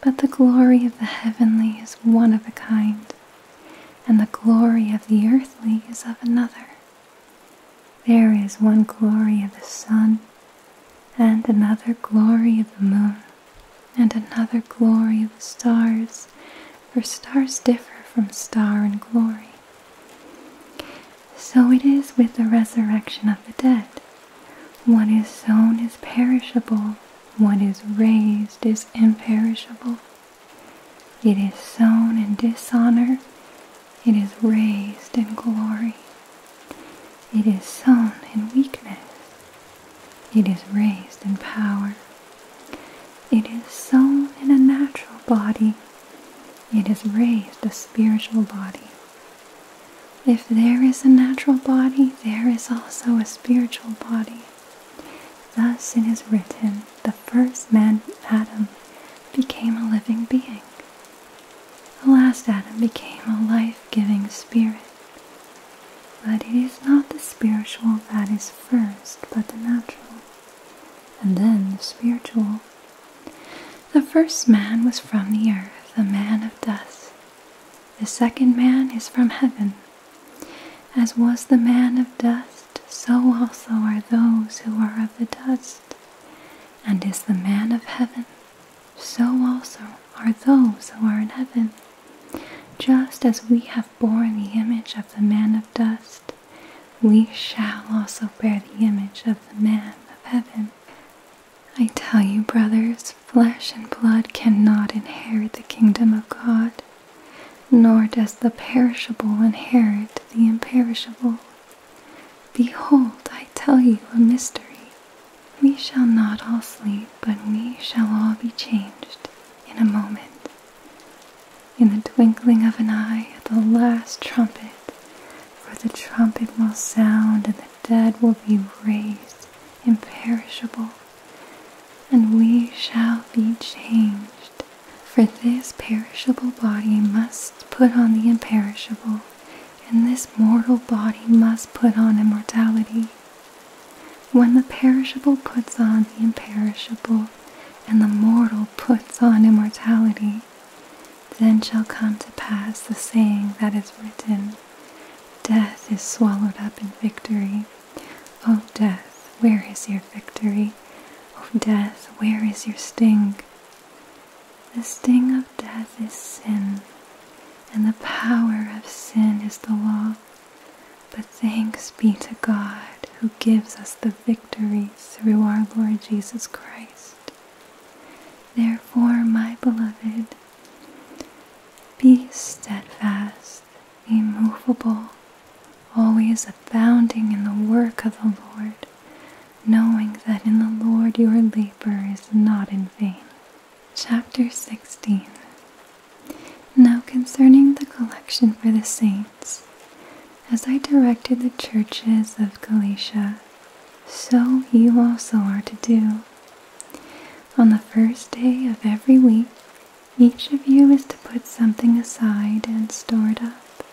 A: but the glory of the heavenly is one of a kind, and the glory of the earthly is of another. There is one glory of the sun, and another glory of the moon, and another glory of the stars, for stars differ from star in glory. So it is with the resurrection of the dead. What is sown is perishable, what is raised is imperishable. It is sown in dishonor, it is raised in glory. It is sown in weakness. It is raised in power. It is sown in a natural body. It is raised a spiritual body. If there is a natural body, there is also a spiritual body. Thus it is written, the first man, Adam, became a living being. The last atom became a life giving spirit. But it is not the spiritual that is first, but the natural, and then the spiritual. The first man was from the earth, a man of dust. The second man is from heaven. As was the man of dust, so also are those who are of the dust. And is the man of heaven so also are those who are in heaven. Just as we have borne the image of the man of dust, we shall also bear the image of the man of heaven. I tell you, brothers, flesh and blood cannot inherit the kingdom of God, nor does the perishable inherit the imperishable. Behold, I tell you a mystery. We shall not all sleep, but we shall all be changed in a moment. In the twinkling of an eye, at the last trumpet, for the trumpet will sound, and the dead will be raised imperishable, and we shall be changed. For this perishable body must put on the imperishable, and this mortal body must put on immortality. When the perishable puts on the imperishable, and the mortal puts on immortality, then shall come to pass the saying that is written Death is swallowed up in victory. O death, where is your victory? O death, where is your sting? The sting of death is sin, and the power of sin is the law. But thanks be to God who gives us the victory through our Lord Jesus Christ. Therefore, my beloved, be steadfast, immovable, always abounding in the work of the Lord knowing that in the Lord your labor is not in vain. Chapter 16 Now concerning the collection for the saints, as I directed the churches of Galatia, so you also are to do. On the first day of every week, each of you is to put something aside and store it up,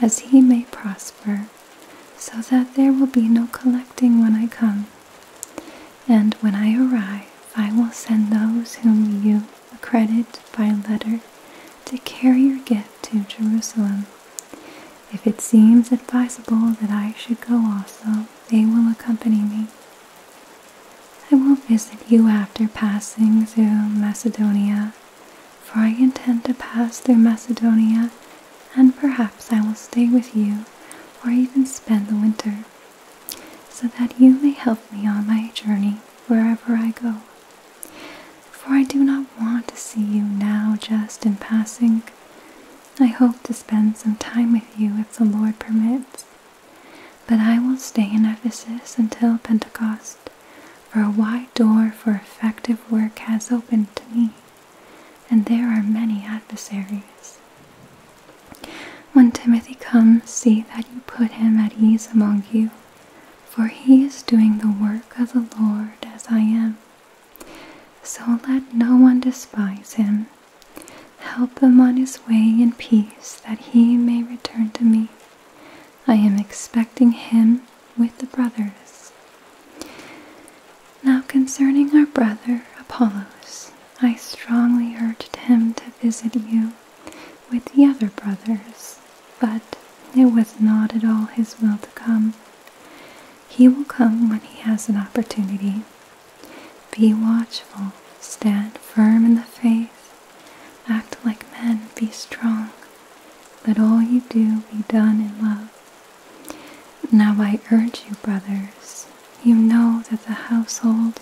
A: as he may prosper so that there will be no collecting when I come. And when I arrive, I will send those whom you accredit by letter to carry your gift to Jerusalem. If it seems advisable that I should go also, they will accompany me. I will visit you after passing through Macedonia, for I intend to pass through Macedonia and perhaps I will stay with you or even spend the winter, so that you may help me on my journey wherever I go. For I do not want to see you now just in passing. I hope to spend some time with you if the Lord permits. But I will stay in Ephesus until Pentecost, for a wide door for effective work has opened to me and there are many adversaries. When Timothy comes, see that you put him at ease among you, for he is doing the work of the Lord as I am. So let no one despise him. Help him on his way in peace, that he may return to me. I am expecting him with the brothers. Now concerning our brother Apollos, I strongly urged him to visit you with the other brothers, but it was not at all his will to come. He will come when he has an opportunity. Be watchful, stand firm in the faith, act like men, be strong. Let all you do be done in love. Now I urge you, brothers, you know that the household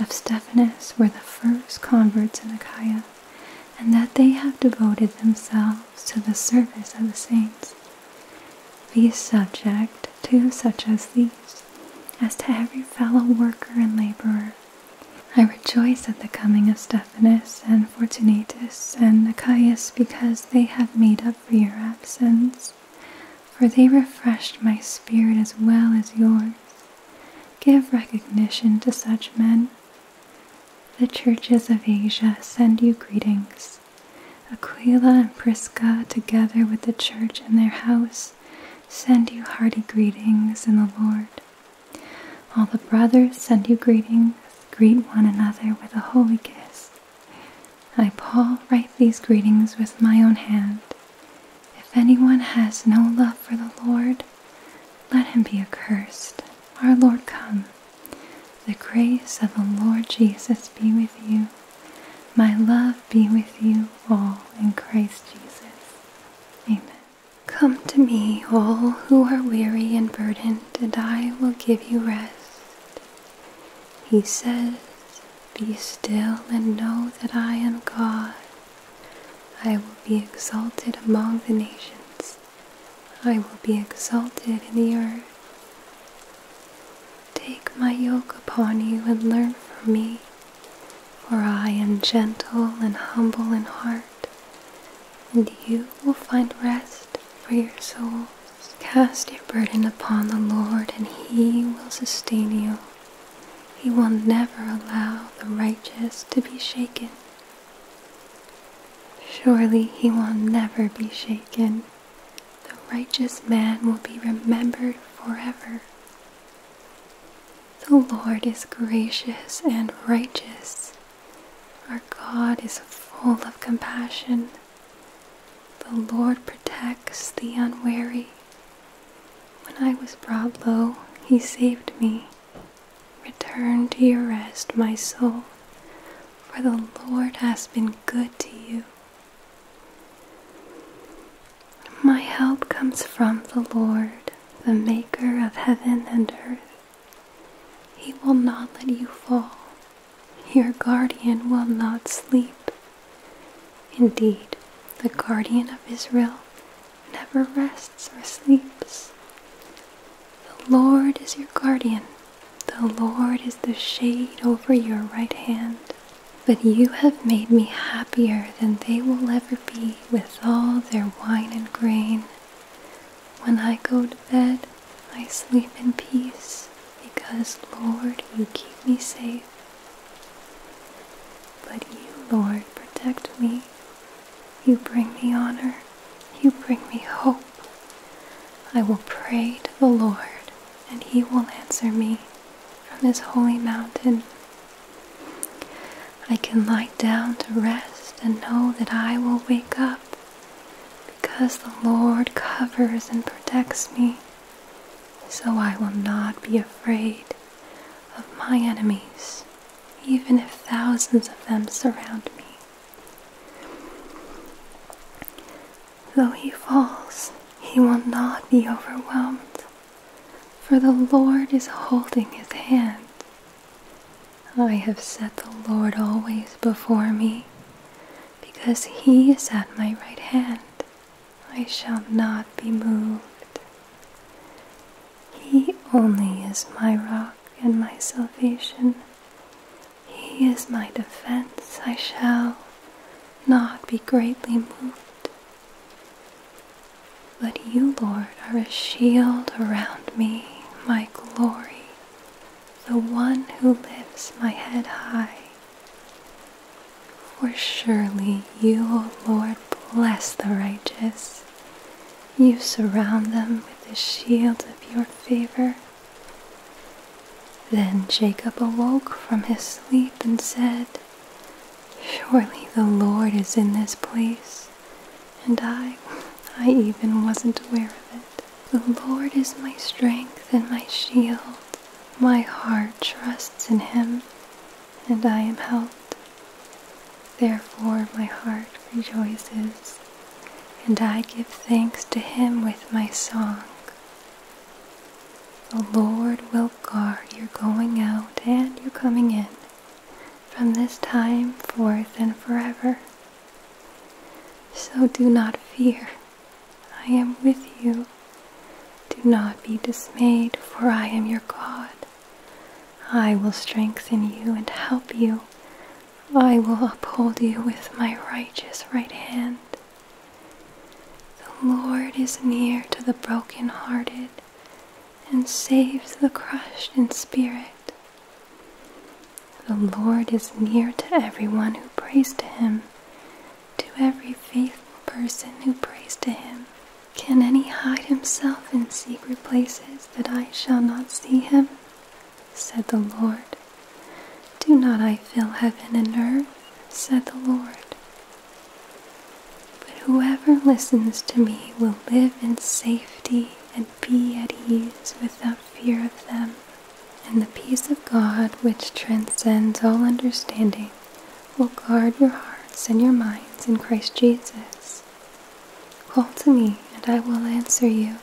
A: of Stephanus were the first converts in Achaia, and that they have devoted themselves to the service of the saints. Be subject to such as these, as to every fellow worker and laborer. I rejoice at the coming of Stephanus and Fortunatus and Achaeus because they have made up for your absence, for they refreshed my spirit as well as yours. Give recognition to such men. The churches of Asia send you greetings. Aquila and Prisca, together with the church in their house, send you hearty greetings in the Lord. All the brothers send you greetings. Greet one another with a holy kiss. I, Paul, write these greetings with my own hand. If anyone has no love for the Lord, let him be accursed. Our Lord, come. The grace of the Lord Jesus be with you. My love be with you all in Christ Jesus. Amen. Come to me, all who are weary and burdened, and I will give you rest. He says, Be still and know that I am God. I will be exalted among the nations. I will be exalted in the earth. Take my yoke upon you and learn from me, for I am gentle and humble in heart, and you will find rest for your souls. Cast your burden upon the Lord, and He will sustain you. He will never allow the righteous to be shaken. Surely He will never be shaken. The righteous man will be remembered forever. The Lord is gracious and righteous. Our God is full of compassion. The Lord protects the unwary. When I was brought low, he saved me. Return to your rest, my soul, for the Lord has been good to you. My help comes from the Lord, the maker of heaven and earth. He will not let you fall. Your guardian will not sleep. Indeed, the guardian of Israel never rests or sleeps. The Lord is your guardian. The Lord is the shade over your right hand. But you have made me happier than they will ever be with all their wine and grain. When I go to bed, I sleep in peace because, Lord, you keep me safe. But you, Lord, protect me. You bring me honor. You bring me hope. I will pray to the Lord, and he will answer me from his holy mountain. I can lie down to rest and know that I will wake up because the Lord covers and protects me, so I will not be afraid of my enemies, even if thousands of them surround me. Though he falls, he will not be overwhelmed, for the Lord is holding his hand. I have set the Lord always before me because he is at my right hand. I shall not be moved. He only is my rock and my salvation. He is my defense. I shall not be greatly moved. But you, Lord, are a shield around me, my glory, the one who lifts my head high. For surely you, O Lord, bless the righteous. You surround them with the shield of your favor. Then Jacob awoke from his sleep and said, Surely the Lord is in this place, and I, I even wasn't aware of it. The Lord is my strength and my shield. My heart trusts in him, and I am helped. Therefore my heart rejoices, and I give thanks to him with my song. The Lord will guard your going out and your coming in from this time forth and forever. So do not fear, I am with you. Do not be dismayed, for I am your God. I will strengthen you and help you. I will uphold you with my righteous right hand. The Lord is near to the brokenhearted and saves the crushed in spirit. The Lord is near to everyone who prays to him, to every faithful person who prays to him. Can any hide himself in secret places that I shall not see him? said the Lord. Do not I fill heaven and earth? said the Lord. But whoever listens to me will live in safety and be at ease without fear of them. And the peace of God, which transcends all understanding, will guard your hearts and your minds in Christ Jesus. Call to me, and I will answer you,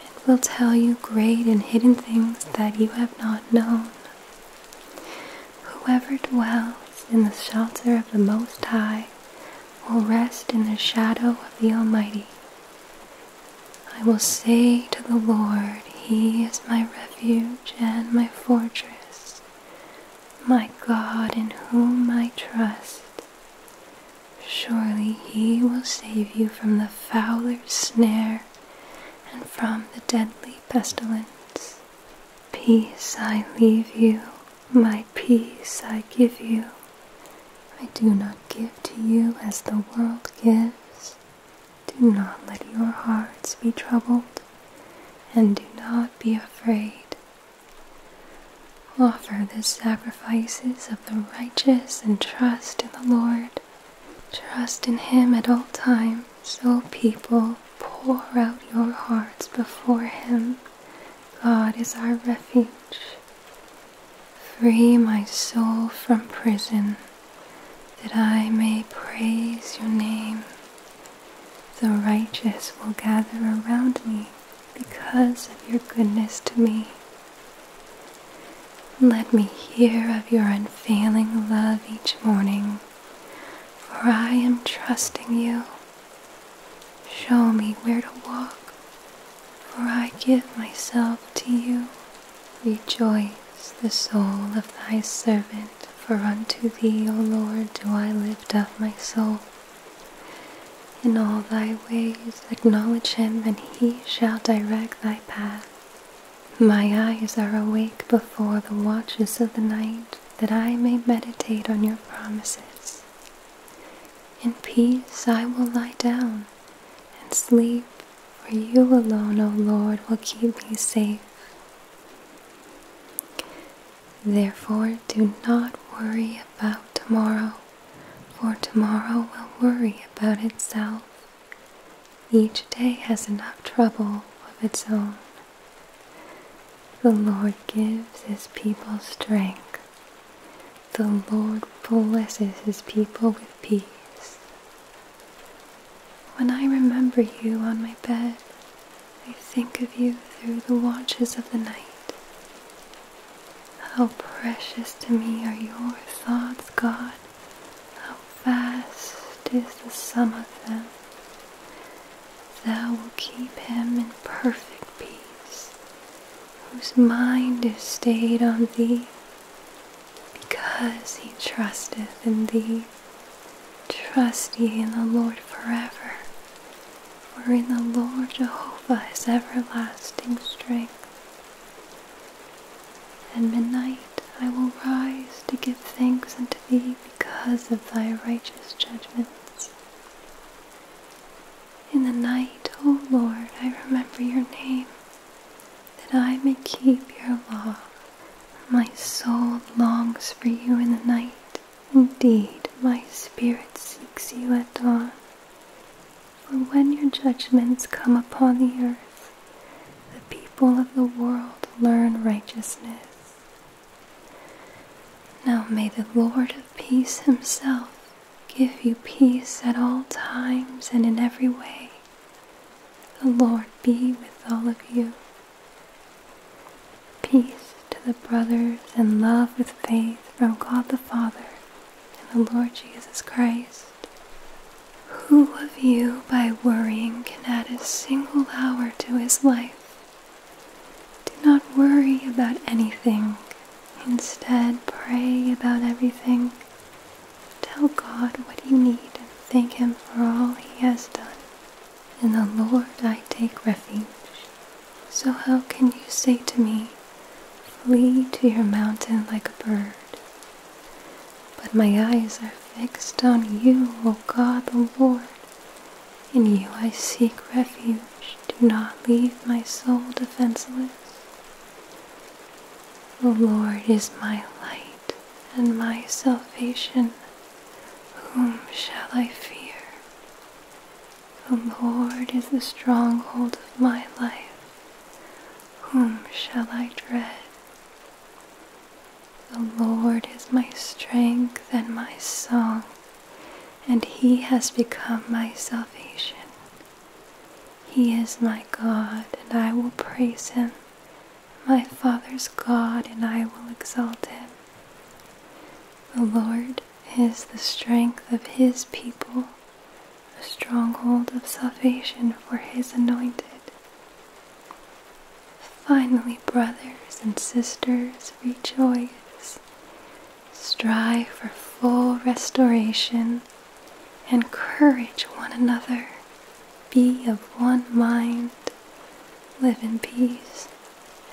A: and will tell you great and hidden things that you have not known. Whoever dwells in the shelter of the Most High will rest in the shadow of the Almighty. I will say to the Lord, He is my refuge and my fortress, my God in whom I trust. Surely He will save you from the fowler's snare and from the deadly pestilence. Peace I leave you, my peace I give you. I do not give to you as the world gives. Do not let your hearts be troubled, and do not be afraid. Offer the sacrifices of the righteous and trust in the Lord. Trust in Him at all times, so people pour out your hearts before Him. God is our refuge. Free my soul from prison that I may praise your name. The righteous will gather around me because of your goodness to me. Let me hear of your unfailing love each morning, for I am trusting you. Show me where to walk, for I give myself to you. Rejoice the soul of thy servant, for unto thee, O Lord, do I lift up my soul. In all thy ways acknowledge him, and he shall direct thy path. My eyes are awake before the watches of the night, that I may meditate on your promises. In peace I will lie down and sleep, for you alone, O Lord, will keep me safe. Therefore, do not worry about tomorrow, for tomorrow will worry about itself. Each day has enough trouble of its own. The Lord gives his people strength. The Lord blesses his people with peace. When I remember you on my bed, I think of you through the watches of the night. How precious to me are your thoughts, God. How vast is the sum of them. Thou wilt keep him in perfect peace, whose mind is stayed on thee, because he trusteth in thee. Trust ye in the Lord forever, for in the Lord Jehovah is everlasting strength. At midnight I will rise to give thanks unto thee because of thy righteous judgments. In the night, O Lord, I remember your name that I may keep your law. My soul longs for you in the night. Indeed, my spirit seeks you at dawn. For when your judgments come upon the earth, the people of the world learn righteousness. Now may the Lord of peace himself give you peace at all times and in every way. The Lord be with all of you. Peace to the brothers and love with faith from God the Father and the Lord Jesus Christ. Who of you by worrying can add a single hour to his life? Do not worry about anything. Instead, pray about everything. Tell God what you need and thank Him for all He has done. In the Lord I take refuge. So how can you say to me, Flee to your mountain like a bird? But my eyes are fixed on you, O God the Lord. In you I seek refuge. Do not leave my soul defenseless. The Lord is my light and my salvation. Whom shall I fear? The Lord is the stronghold of my life. Whom shall I dread? The Lord is my strength and my song, and He has become my salvation. He is my God, and I will praise Him my Father's God, and I will exalt him. The Lord is the strength of his people, a stronghold of salvation for his anointed. Finally, brothers and sisters, rejoice. Strive for full restoration. Encourage one another. Be of one mind, live in peace,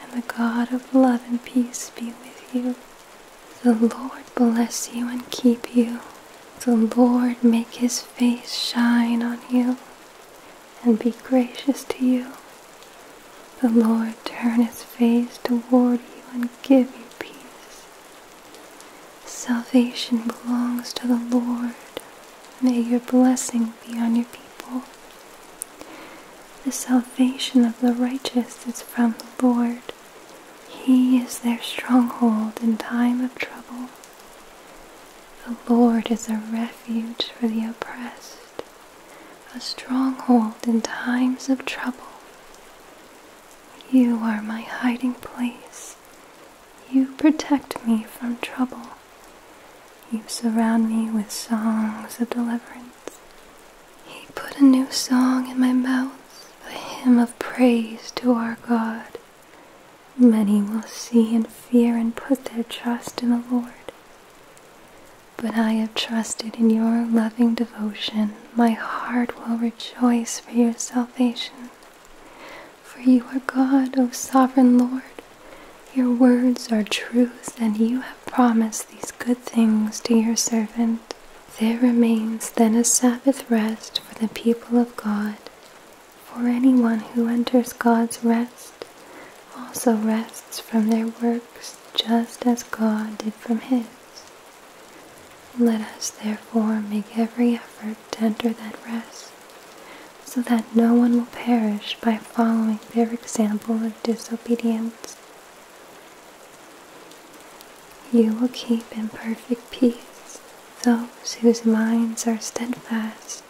A: and the God of love and peace be with you. The Lord bless you and keep you. The Lord make his face shine on you and be gracious to you. The Lord turn his face toward you and give you peace. Salvation belongs to the Lord. May your blessing be on your people. The salvation of the righteous is from the Lord. He is their stronghold in time of trouble. The Lord is a refuge for the oppressed, a stronghold in times of trouble. You are my hiding place you protect me from trouble. You surround me with songs of deliverance. He put a new song in my mouth, a hymn of praise to our God. Many will see and fear and put their trust in the Lord. But I have trusted in your loving devotion. My heart will rejoice for your salvation. For you are God, O sovereign Lord. Your words are truth, and you have promised these good things to your servant. There remains then a Sabbath rest for the people of God. For anyone who enters God's rest also rests from their works, just as God did from his. Let us therefore make every effort to enter that rest so that no one will perish by following their example of disobedience. You will keep in perfect peace those whose minds are steadfast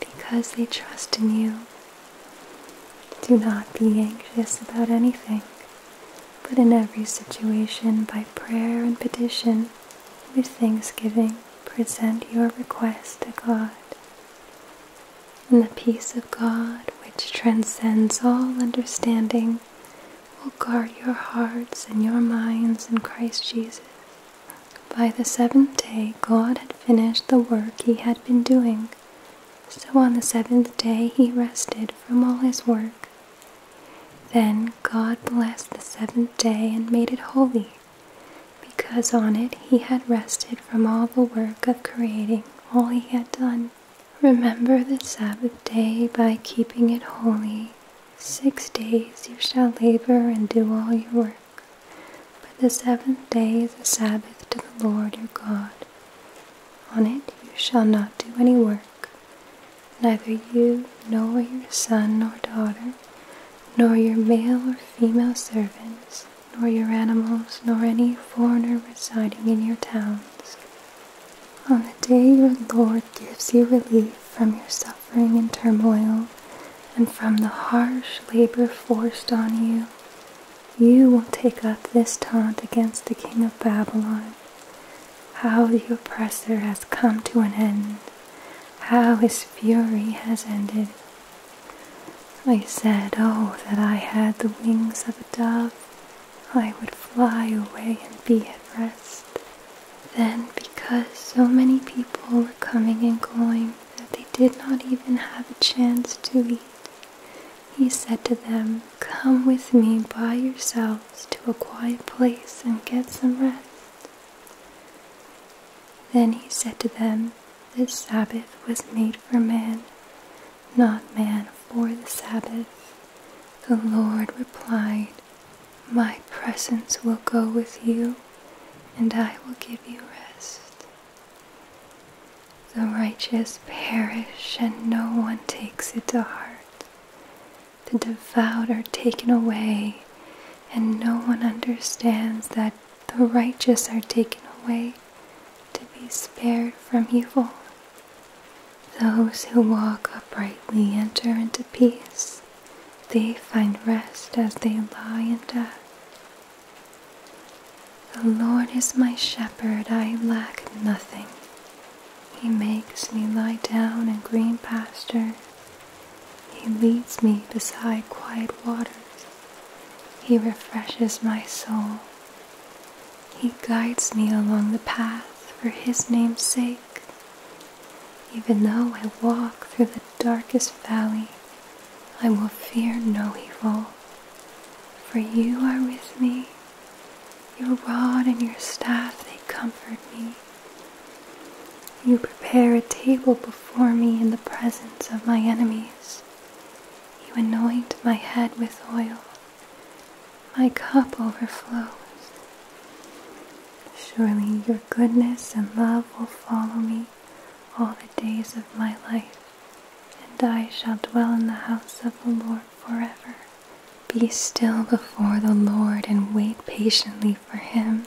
A: because they trust in you. Do not be anxious about anything, but in every situation by prayer and petition with thanksgiving present your request to God. And the peace of God, which transcends all understanding, will guard your hearts and your minds in Christ Jesus. By the seventh day, God had finished the work he had been doing. So on the seventh day, he rested from all his work. Then God blessed the seventh day and made it holy because on it he had rested from all the work of creating all he had done. Remember the Sabbath day by keeping it holy. Six days you shall labor and do all your work, but the seventh day is a Sabbath to the Lord your God. On it you shall not do any work, neither you nor your son nor daughter, nor your male or female servants, nor your animals, nor any foreigner residing in your towns. On the day your Lord gives you relief from your suffering and turmoil, and from the harsh labor forced on you, you will take up this taunt against the king of Babylon. How the oppressor has come to an end how his fury has ended. I said, Oh, that I had the wings of a dove, I would fly away and be at rest. Then, because so many people were coming and going that they did not even have a chance to eat, he said to them, Come with me by yourselves to a quiet place and get some rest. Then he said to them, This Sabbath was made for man, not man for the Sabbath. The Lord replied, My presence will go with you, and I will give you rest. The righteous perish, and no one takes it to heart. The devout are taken away, and no one understands that the righteous are taken away to be spared from evil. Those who walk uprightly enter into peace. They find rest as they lie in death. The Lord is my shepherd, I lack nothing. He makes me lie down in green pastures. He leads me beside quiet waters. He refreshes my soul. He guides me along the path for His name's sake. Even though I walk through the darkest valley, I will fear no evil. For you are with me. Your rod and your staff, they comfort me. You prepare a table before me in the presence of my enemies. You anoint my head with oil. My cup overflows. Surely your goodness and love will follow me all the days of my life, and I shall dwell in the house of the Lord forever. Be still before the Lord and wait patiently for him.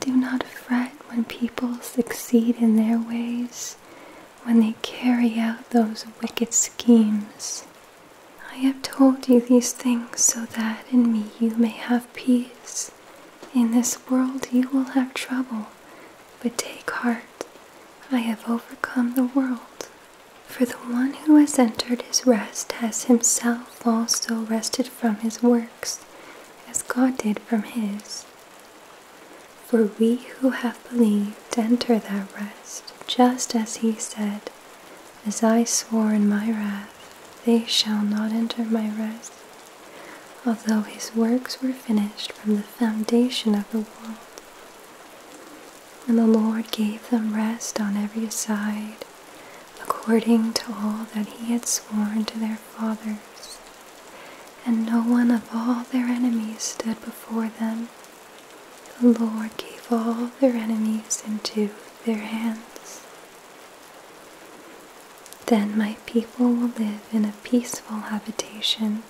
A: Do not fret when people succeed in their ways, when they carry out those wicked schemes. I have told you these things so that in me you may have peace. In this world you will have trouble, but take heart, I have overcome the world. For the one who has entered his rest has himself also rested from his works as God did from his. For we who have believed enter that rest, just as he said, As I swore in my wrath, they shall not enter my rest, although his works were finished from the foundation of the world. And the Lord gave them rest on every side according to all that he had sworn to their fathers. And no one of all their enemies stood before them. The Lord gave all their enemies into their hands. Then my people will live in a peaceful habitation,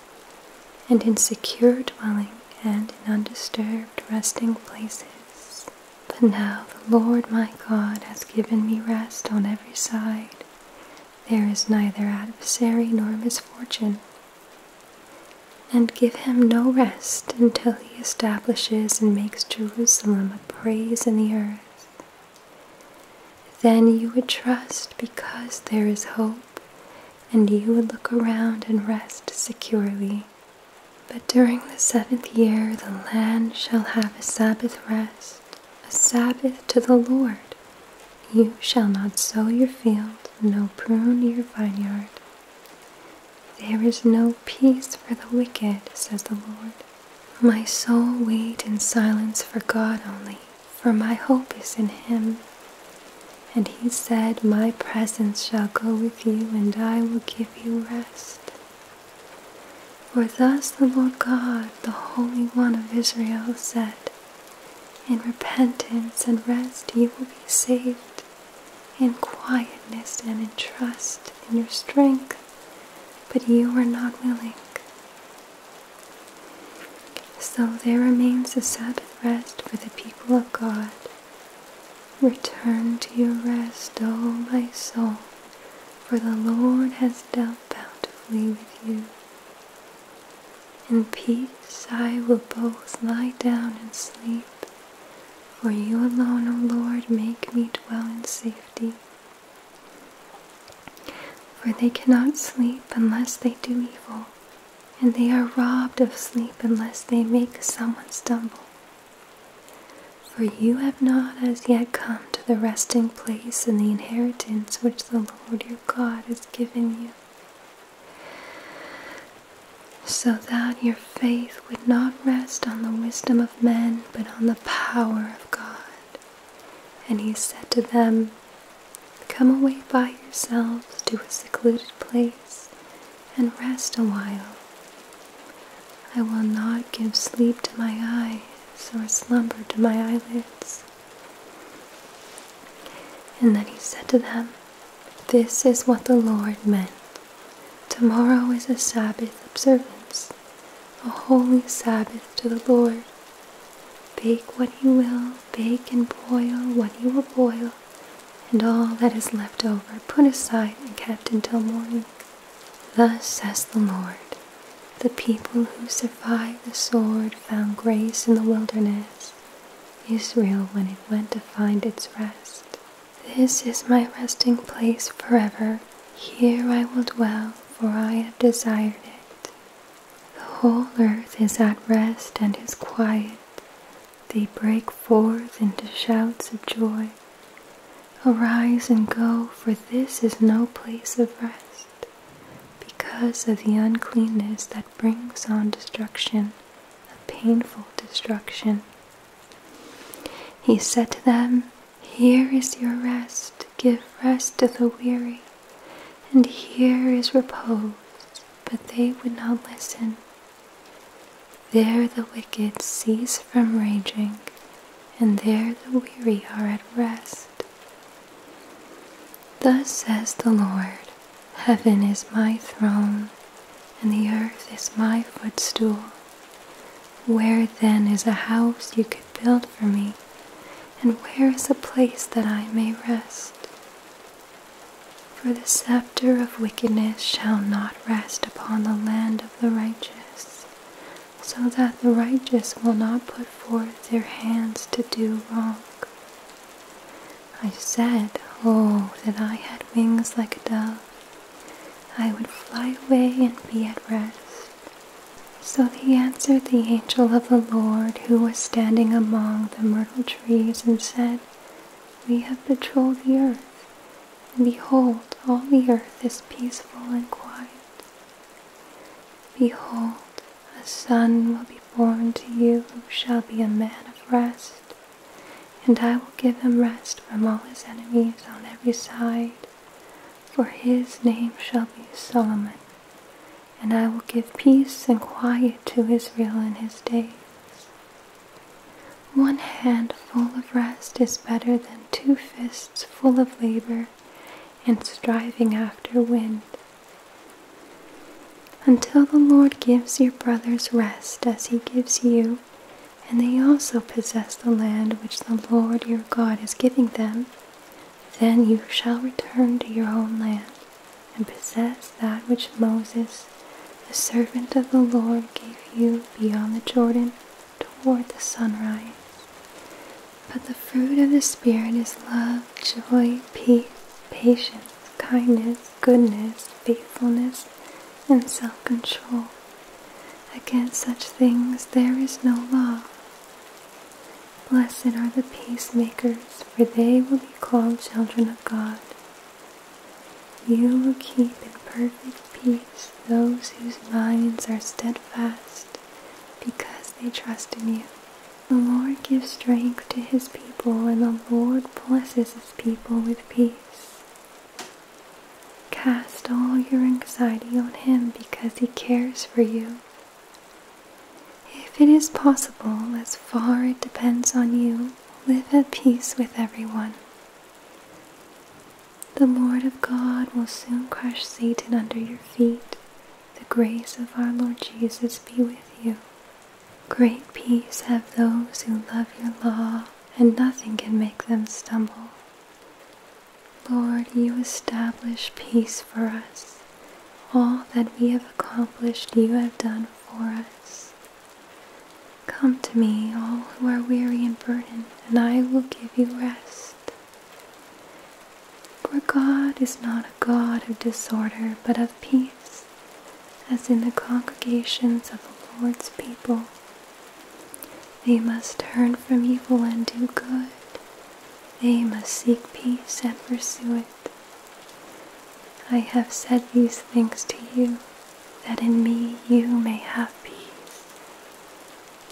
A: and in secure dwelling, and in undisturbed resting places. But now the Lord my God has given me rest on every side. There is neither adversary nor misfortune. And give him no rest until he establishes and makes Jerusalem a praise in the earth. Then you would trust because there is hope, and you would look around and rest securely. But during the seventh year, the land shall have a Sabbath rest a Sabbath to the Lord. You shall not sow your field, nor prune your vineyard. There is no peace for the wicked, says the Lord. My soul wait in silence for God only, for my hope is in him. And he said, My presence shall go with you, and I will give you rest. For thus the Lord God, the Holy One of Israel, said, In repentance and rest you will be saved, in quietness and in trust in your strength, but you are not willing. So there remains a Sabbath rest for the people of God. Return to your rest, O my soul, for the Lord has dealt bountifully with you. In peace I will both lie down and sleep, for you alone, O Lord, make me dwell in safety. For they cannot sleep unless they do evil, and they are robbed of sleep unless they make someone stumble. For you have not as yet come to the resting place and the inheritance which the Lord your God has given you, so that your faith would not rest on the wisdom of men, but on the power of God. And he said to them, Come away by yourselves to a secluded place and rest a while I will not give sleep to my eyes or slumber to my eyelids. And then he said to them, This is what the Lord meant. Tomorrow is a Sabbath observance, a holy Sabbath to the Lord. Bake what you will, bake and boil what you will boil, and all that is left over put aside and kept until morning. Thus says the Lord The people who survived the sword found grace in the wilderness, Israel when it went to find its rest. This is my resting place forever. Here I will dwell, for I have desired it. The whole earth is at rest and is quiet. They break forth into shouts of joy. Arise and go, for this is no place of rest, because of the uncleanness that brings on destruction, a painful destruction. He said to them, Here is your rest, give rest to the weary, and here is repose. But they would not listen. There the wicked cease from raging, and there the weary are at rest. Thus says the Lord Heaven is my throne, and the earth is my footstool. Where then is a house you could build for me, and where is a place that I may rest? For the scepter of wickedness shall not rest upon the land of the righteous, so that the righteous will not put forth their hands to do wrong. I said, Oh, that I had wings like a dove. I would fly away and be at rest. So he answered the angel of the Lord who was standing among the myrtle trees and said, We have patrolled the earth, and behold, all the earth is peaceful and quiet. Behold, a son will be born to you who shall be a man of rest, and I will give him rest from all his enemies on every side. For his name shall be Solomon, and I will give peace and quiet to Israel in his days. One handful of rest is better than two fists full of labor and striving after wind. Until the Lord gives your brothers rest as he gives you, and they also possess the land which the Lord your God is giving them, then you shall return to your own land and possess that which Moses, the servant of the Lord, gave you beyond the Jordan toward the sunrise. But the fruit of the Spirit is love, joy, peace, patience, kindness, goodness, faithfulness, and self control. Against such things there is no law. Blessed are the peacemakers, for they will be called children of God. You will keep in perfect peace those whose minds are steadfast because they trust in you. The Lord gives strength to his people, and the Lord blesses his people with peace. Cast all your anxiety on him because he cares for you. If it is possible, as far it depends on you, live at peace with everyone. The Lord of God will soon crush Satan under your feet. The grace of our Lord Jesus be with you. Great peace have those who love your law, and nothing can make them stumble. Lord, you establish peace for us. All that we have accomplished, you have done for us. Come to me, all who are weary and burdened, and I will give you rest. For God is not a God of disorder, but of peace, as in the congregations of the Lord's people. They must turn from evil and do good. They must seek peace and pursue it. I have said these things to you, that in me you may have peace.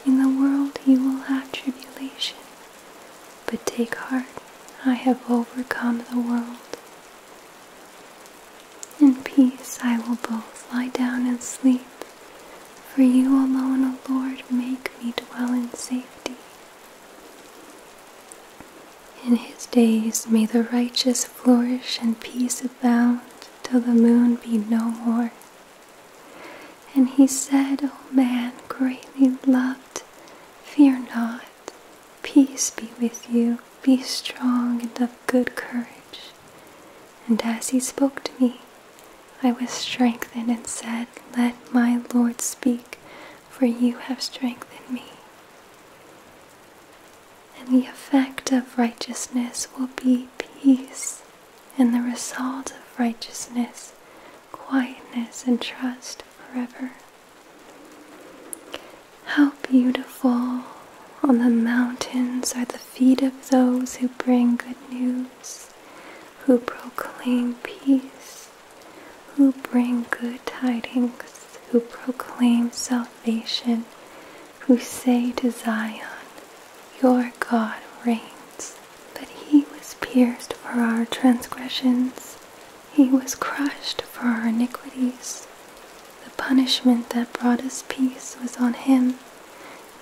A: In the world you will have tribulation, but take heart, I have overcome the world. In peace I will both lie down and sleep, for you alone, O Lord, make me dwell in safety. In his days may the righteous flourish and peace abound till the moon be no more. And he said, O man greatly loved, fear not, peace be with you, be strong and of good courage. And as he spoke to me, I was strengthened and said, Let my Lord speak, for you have strengthened me. And the effect of righteousness will be peace and the result of righteousness, quietness, and trust forever. How beautiful on the mountains are the feet of those who bring good news, who proclaim peace, who bring good tidings, who proclaim salvation, who say to Zion, Your God reigns. But he was pierced for our transgressions, he was crushed for our iniquities. The punishment that brought us peace was on him,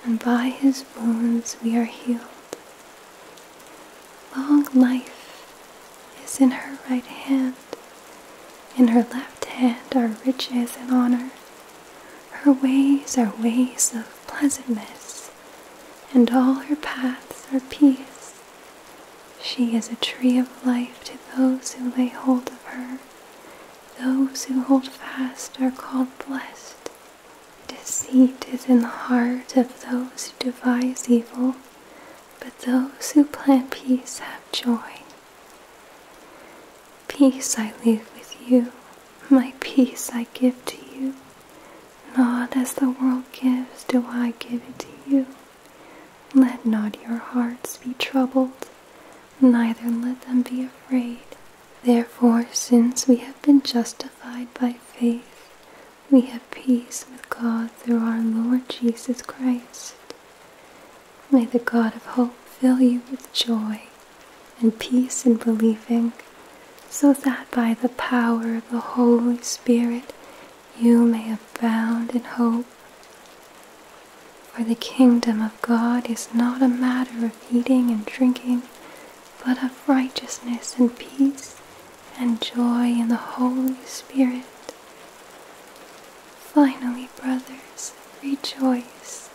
A: and by his wounds we are healed. Long life is in her right hand, in her left hand are riches and honor. Her ways are ways of pleasantness and all her paths are peace. She is a tree of life to those who lay hold of her. Those who hold fast are called blessed. Deceit is in the heart of those who devise evil, but those who plant peace have joy. Peace I leave with you, my peace I give to you. Not as the world gives do I give it to you. Let not your hearts be troubled, neither let them be afraid. Therefore, since we have been justified by faith, we have peace with God through our Lord Jesus Christ. May the God of hope fill you with joy and peace in believing, so that by the power of the Holy Spirit you may abound in hope. For the kingdom of God is not a matter of eating and drinking, but of righteousness and peace and joy in the Holy Spirit. Finally, brothers, rejoice.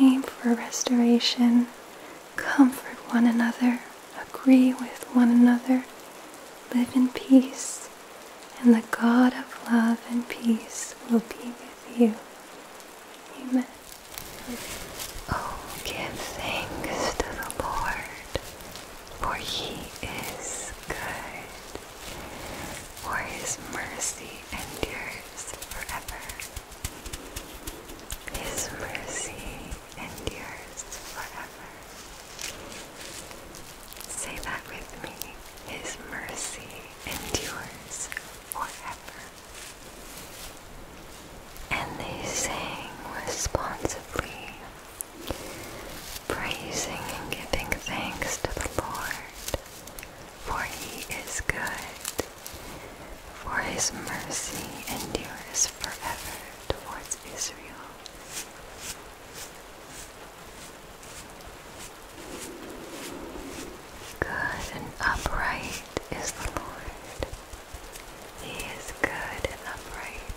A: Aim for restoration. Comfort one another, agree with one another, live in peace, and the God of love and peace will be with you. Amen. Oh, give
B: thanks to the Lord, for he is good, for his mercy endures forever. His mercy endures forever. Say that with me. His mercy endures forever. And they sang responsively, praising and giving thanks to the Lord, for he is good, for his mercy endures forever towards Israel. Good and upright is the Lord. He is good and upright.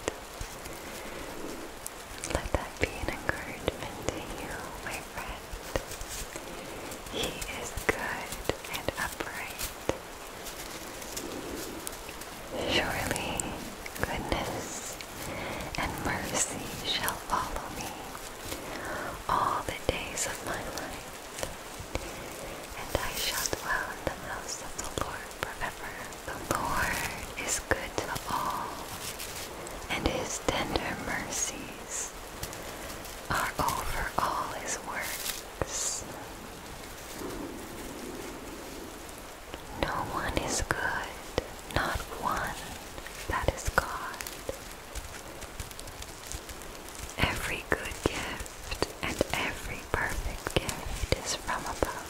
B: Let that be an encouragement to you, my friend. He is good and upright. Surely goodness and mercy shall follow me all the days of my life, and I shall dwell in the house of the Lord forever. The Lord is good to all, and his tender mercies are over all his works. No one is good, not one that is God. Every good gift and every perfect gift is from above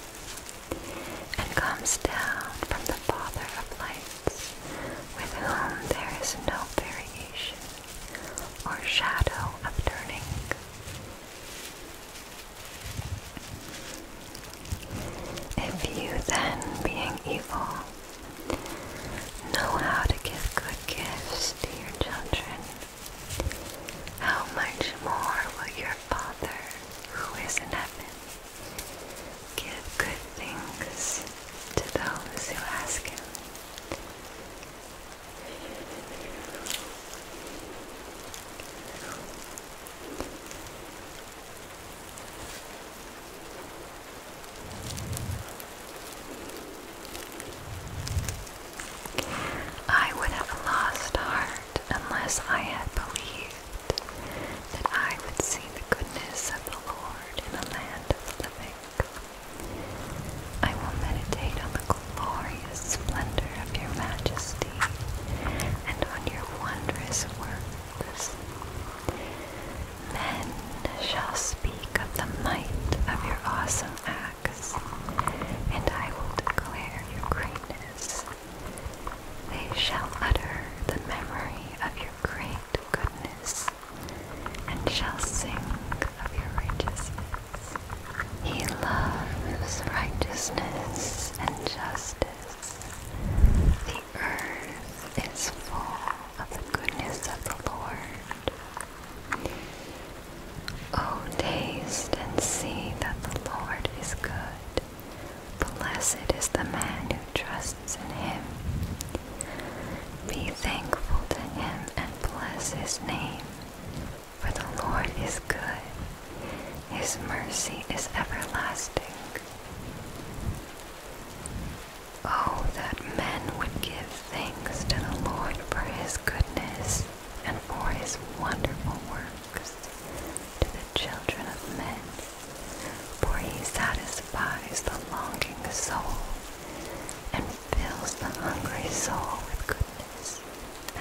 B: and comes down from the Father of lights, with whom there is no variation or shadow of turning. If you then, being evil, know how to give good gifts to your children, how much more will your Father who is in heaven give good things to those who ask him? I would have lost heart unless I had believed that I would see the goodness of the Lord in the land of the living. I will meditate on the glorious splendor of your majesty and on your wondrous works. Men shall speak of the might of your awesome acts, and I will declare your greatness. They shall utter the memory of your great goodness, and shall sing of your righteousness. He loves righteousness and justice. The earth is full of the goodness of the Lord. Oh, taste and see that the Lord is good. Blessed is the man who trusts in him. Be thankful to him and bless his name. For the Lord is good, His mercy is everlasting. Oh, that men would give thanks to the Lord for His goodness and for His wonderful works to the children of men, for He satisfies the longing soul and fills the hungry soul with goodness.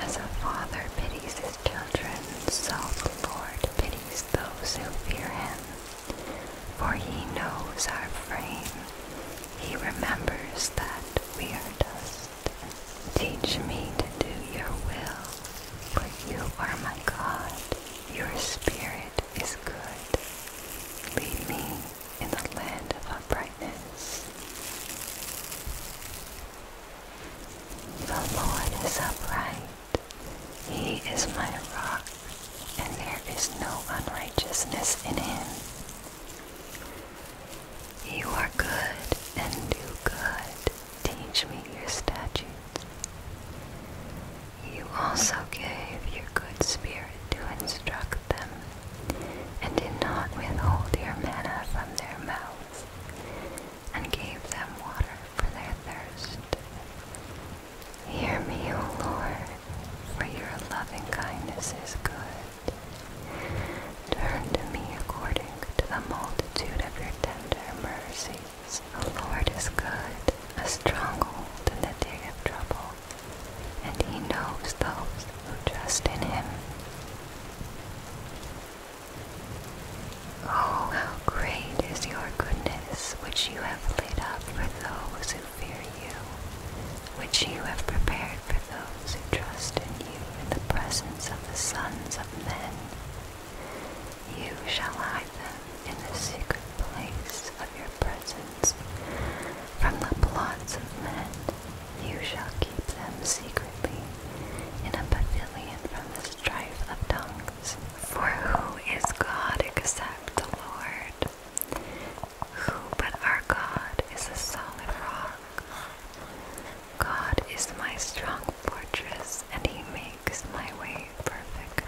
B: As a father pities his children, so the Lord pities those who fear him. For he knows our frame, he remembers that we are dust. Teach me to do your will, But you are my God, your spirit is good. Lead me in the land of uprightness. The Lord is upright. He is my rock, and there is no unrighteousness in him. You are good and do good. Teach me your statutes. You also gave your good spirit to instruct them and did not withhold your manna from their mouths, and gave them water for their thirst. Hear me, O Lord, for your loving kindness is good. Turn to me according to the multitude of your tender mercies. The Lord is good, a stronghold in the day of trouble and he knows those who trust in him. Oh, how great is your goodness, which you have laid up for those who fear you, which you have prepared for those who trust in you in the presence of the sons of men. You shall hide them in the secret place of your presence from the plots of men. You shall keep them secretly in a pavilion from the strife of tongues. For who is God except the Lord? Who but our God is a solid rock? God is my strong fortress, and He makes my way perfect.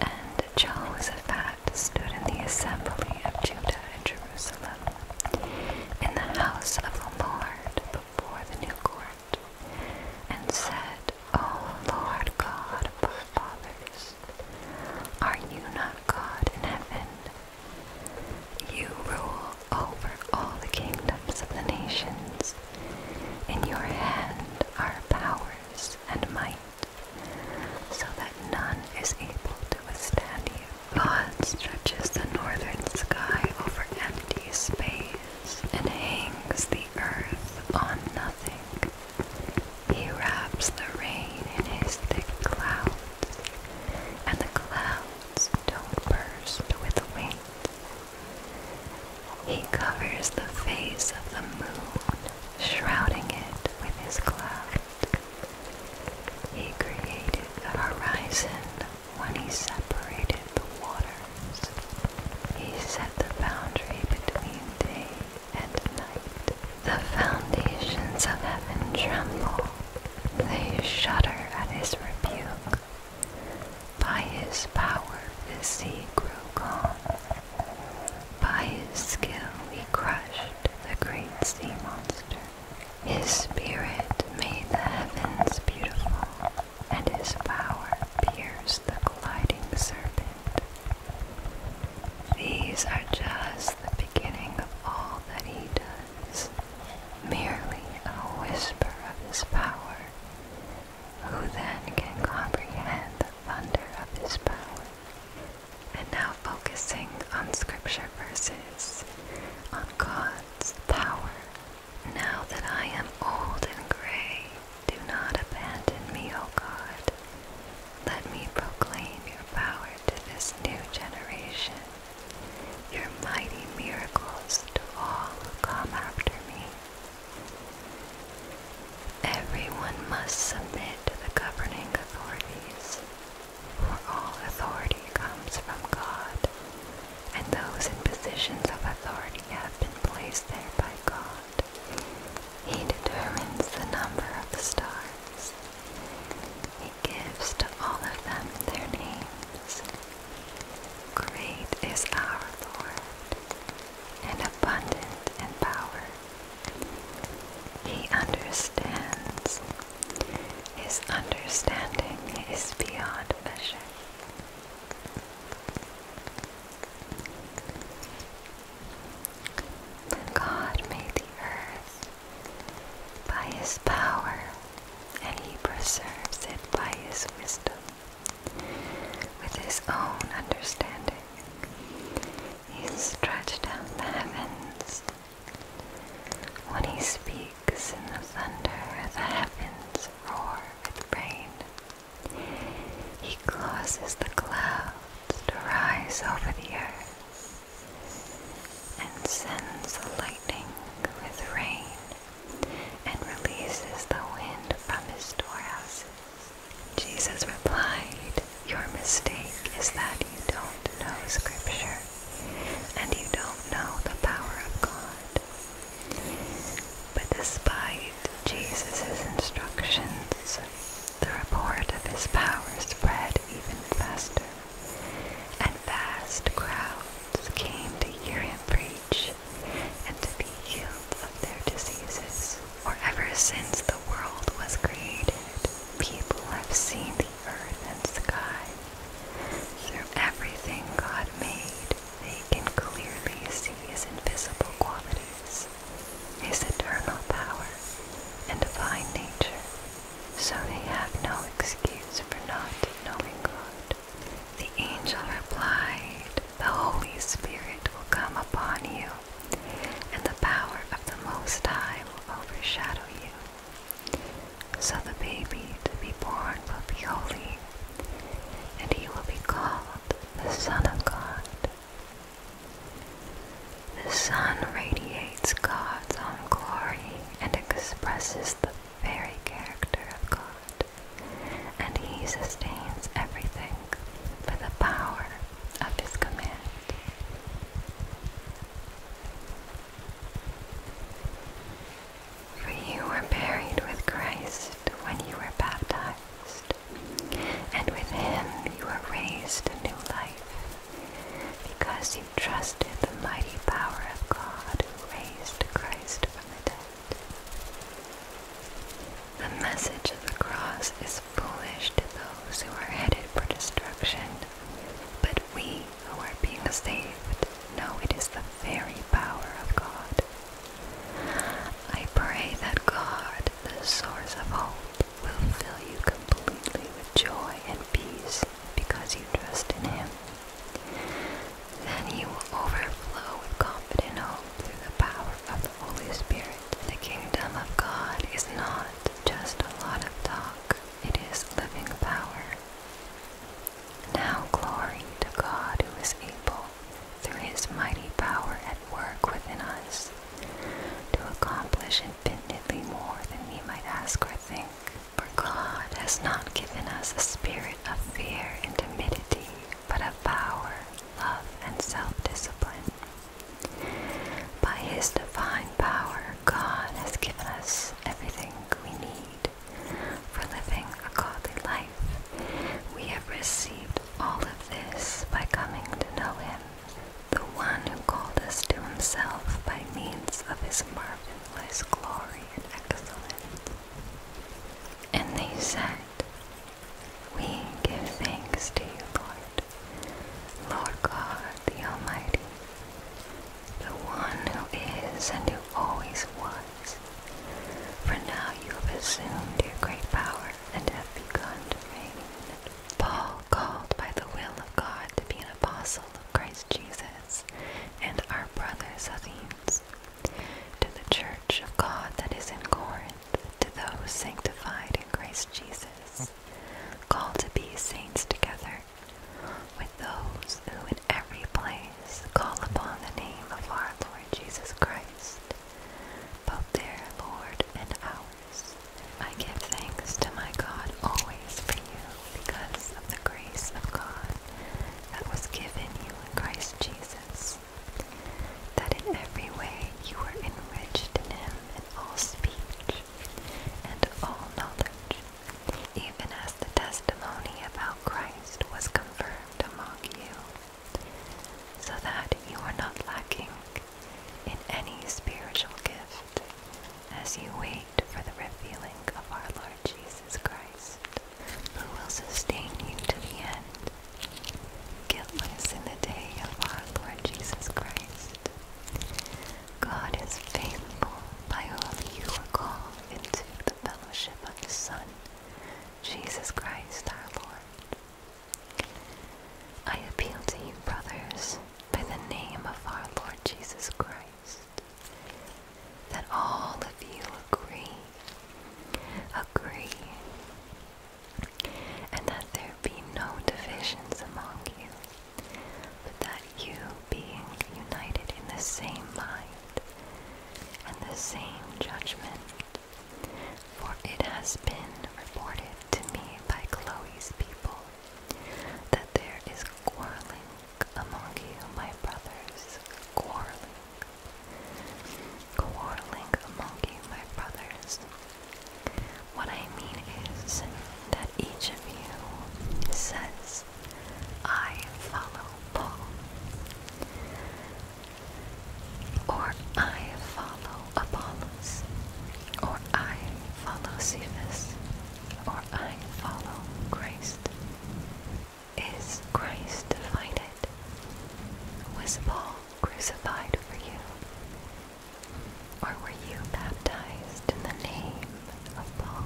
B: And Jehoshaphat stood in the assembly of Judah and Jerusalem, in the house of the Lord before the new court, and said, O Lord God of our fathers, are you not God in heaven? You rule over all the kingdoms of the nations. In your hand are powers and might, so that none is able to withstand you. Pod stretches the northern sky over empty space and hangs the earth on nothing. He wraps the rain in his thick clouds, and the clouds don't burst with wind. He covers the face of the moon, shrouding it with his cloud. He created the horizon when he separated the waters. He set the boundary between day and night. The foundations of heaven tremble. They shudder at his rebuke. By his power the sea grew calm. By his skill he crushed the great sea monster. His spirit made the heavens beautiful, and his power pierced the gliding serpent. These are just the beginning of all that he does, merely a whisper of his power. Who then can comprehend the thunder of his power? And now focusing on scripture verses, on God's power. Now that I am old and gray, do not abandon me, O God. Let me proclaim your power to this new generation, your mighty miracles to all who come after me. Everyone must submit to the governing authorities, for all authority comes from God, and those in positions of authority have been placed there by God. He determines the number of the stars. He gives to all of them their names. Great is our Lord, and abundant and power. He understands his understanding is beyond measure. God made the earth by his power, and he preserves it by his wisdom, with his own understanding, he stretched out the heavens when he speaks in the thunder, the heavens roar with rain. He causes the clouds to rise over the earth and sends the lightning with rain and releases the wind from his storehouses. Jesus replied, your mistake is that you don't know Scripture and you don't know the power of God. But despite Jesus' instructions, the report of his power spread even faster, and vast crowds came to hear him preach and to be healed of their diseases. For ever since the world was created, people have seen earth and sky. Through everything God made, they can clearly see His invisible qualities, His eternal power, and divine nature, so they have no excuse for not knowing God. The angel replied, The Holy Spirit will come upon you, and the power of the Most High will overshadow you. So the baby to be born will be holy, and he will be called the Son of God. The sun radiates God's own glory and expresses the very character of God, and he sustains everything by the power of his command. For you were buried with Christ when you were baptized, and with him you were raised to new life, because you trusted the mighty power of God who raised Christ from the dead. The message of the cross is foolish to those who are headed for destruction, but we who are being saved know it is the very power of God. I pray that God, the source of hope, will fill you completely with joy and peace because you trust in Him. Then you will overflow with confident hope through the power of the Holy Spirit. The kingdom of God is not just a lot of talk, it is living power. Now glory to God who is able, through his mighty power at work within us, to accomplish infinitely more than we might ask or think. For God has not given us a spirit of fear and timidity, but of power, love, and self-discipline. By his divine power, God has given us everything we need for living a godly life. We have received all of this by coming to know Him, the one who called us to Himself by means of His marvelous glory and excellence. And they said, We give thanks to you, Lord, Lord God the Almighty. The one who is and who always was. For now you have assumed your great power and have begun to reign. Paul, called by the will of God to be an apostle of Christ Jesus, and our brother Athenians, to the church of God that is in Corinth, to those sanctified in Christ Jesus, called to be saints together with those who in every place call upon the name of our Lord Jesus Christ, both their Lord and ours. I give thanks to my God always for you because of the grace of God that was given you in Christ Jesus, that in every way you were enriched in him in all speech and all knowledge even as the testimony about Christ was confirmed among you, so that you are not lacking in any spiritual gift as you wait for the revealing of our Lord Jesus Christ, who will sustain you to the end, guiltless in the day of our Lord Jesus Christ. God is faithful by whom you were called into the fellowship of the Son, Jesus Christ our Lord. I appeal to you, brothers, by the name of our Lord Jesus Christ, that all of you agree, agree, and that there be no divisions among you that you being united in the same mind and the same judgment. For it has been reported to me by Chloe's people that there is quarreling among you, my brothers, quarreling. Quarreling among you, my brothers. What I mean is that each of you says, I follow Paul, or I follow Apollos, or I follow Cephas, or I follow Christ. Is Christ divided? Was Paul crucified for you? or were you baptized in the name of Paul?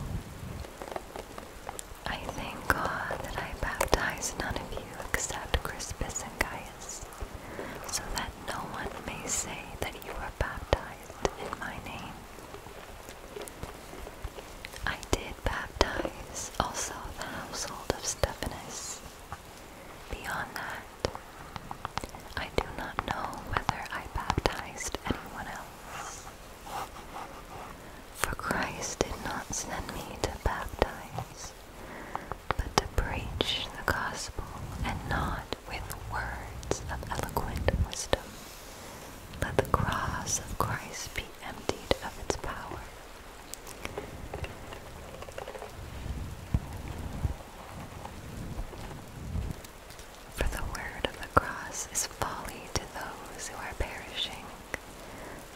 B: I thank God that I baptized none of you except Crispus and Gaius, so that no one may say that you were baptized in my name. I did baptize also the household of Stephanus. Beyond that, I do not know whether I baptized anyone else. For Christ did not send me to baptize, but to preach the gospel, and not with words of eloquent wisdom. Let the cross of Christ be emptied of its power. For the word of the cross is folly to those who are perishing,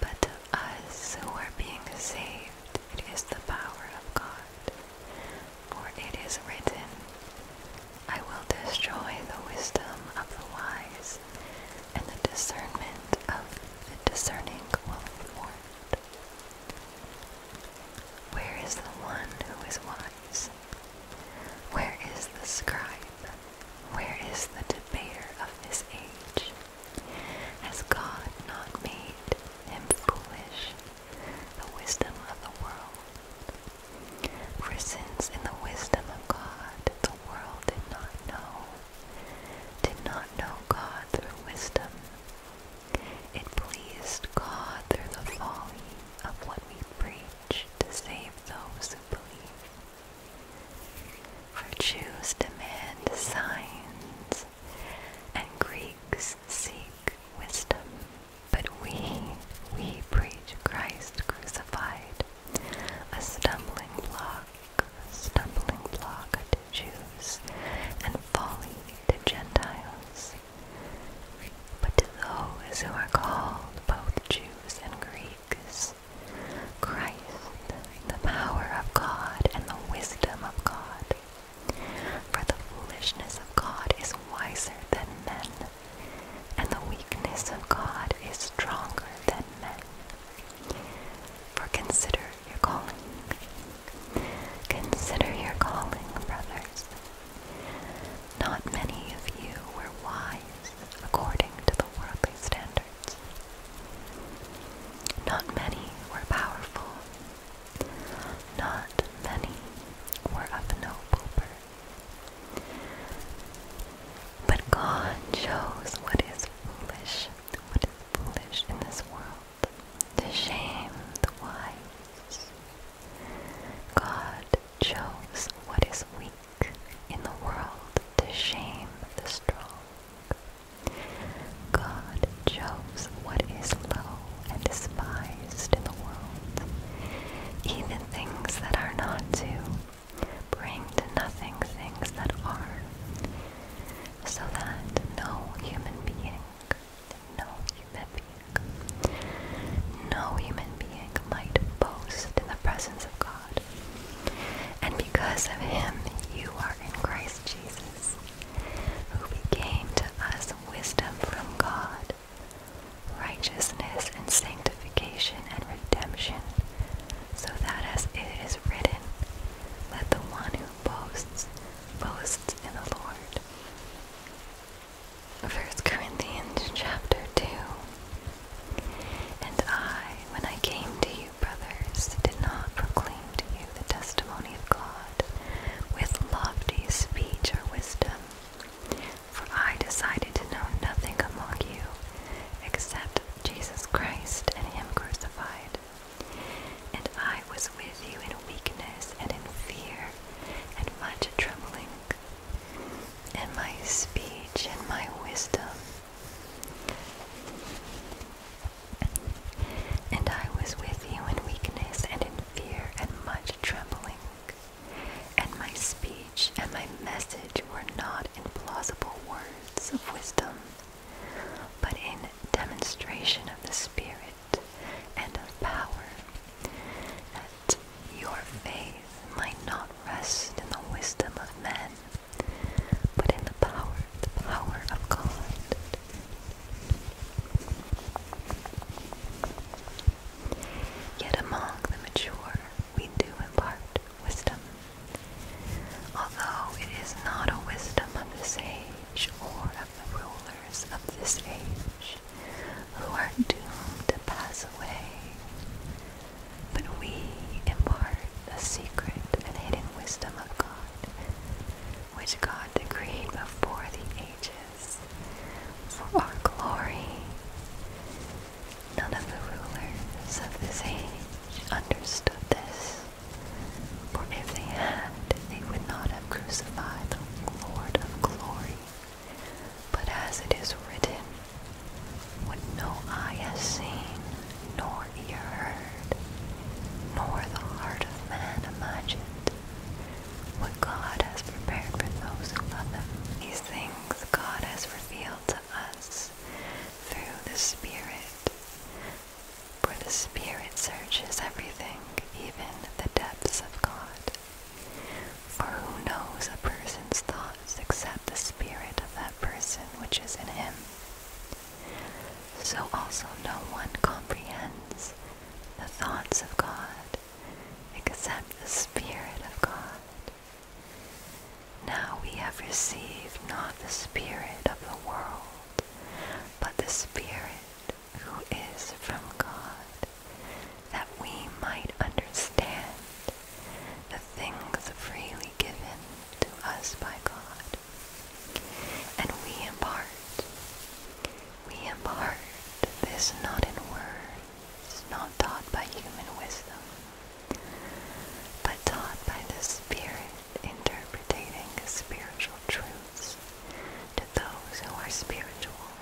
B: but to us who are being saved it is the power of God. For it is written, I will destroy the wisdom of the wise, and the discernment of the discerning will thwart. Where is the one who is wise? Where is the scribe? Where is the debater of this age? Has God not made him foolish, the wisdom of the world? For since in the wisdom of God the world did not know, did not know God through wisdom, it pleased God through the folly of what we preach to save those who believe. For Jews demand signs, and Greeks seek wisdom. But we, we preach Christ crucified, a stumbling block, a stumbling block to Jews, and folly to Gentiles but to those who are called both Jews and Greeks, Christ, the power of God and the wisdom of God. For the foolishness of God is wiser than men, and the weakness of God is stronger than men. For consider your calling. Consider your calling, brothers. Not many of you were wise according to the worldly standards. Not many were powerful. Not many were of noble birth. But God shows what is foolish, what is foolish in this world, to shame the wise. God chose what is weak in the world to shame the strong. God chose what is low and despised in the world, even things that are not to, bring to nothing things that are, so that no human being, no human being no human being might boast in the presence of God. And because of him, you are in Christ Jesus, who became to us wisdom from God, righteousness and sanctification and redemption, so that as it is written, let the one who boasts boasts in the Lord. First Corinthians chapter 2. And I, when I came to you, brothers, did not proclaim to you the testimony of God with lofty speech or wisdom, for I decided to know nothing among you except Jesus Christ and Him crucified. And I was with you in weakness and in fear and much trembling and my speech and my wisdom. And I was with you in weakness and in fear and much trembling. And my speech and my message were not in plausible words of wisdom, but in demonstration of the Spirit and of power, that your faith might not rest in the wisdom of men, but in the power, the power of God. Yet among the mature we do impart wisdom, although it is not a wisdom of this age or of the rulers of this age, who are doomed to pass away. But we impart the secret and hidden wisdom of God, which God decreed before the ages for our glory. None of the rulers of this age understood this, for if they had, they would not have crucified the Lord of glory. But as it is written, what no eye has seen, nor ear heard, nor the heart of man imagined, what God has prepared for those who love Him. These things God has revealed to us through the Spirit. For the Spirit searches everything, even the depths of God. For who knows a person's thoughts except the spirit of that person which is in him? So also no one comprehends the thoughts of God except the Spirit of God. Now we have received not the Spirit of the world, but the Spirit who is from God, that we might understand the things freely given to us by God. And we impart, we impart this not in words, not taught by human wisdom, but taught by the Spirit interpreting spiritual truths to those who are spiritual.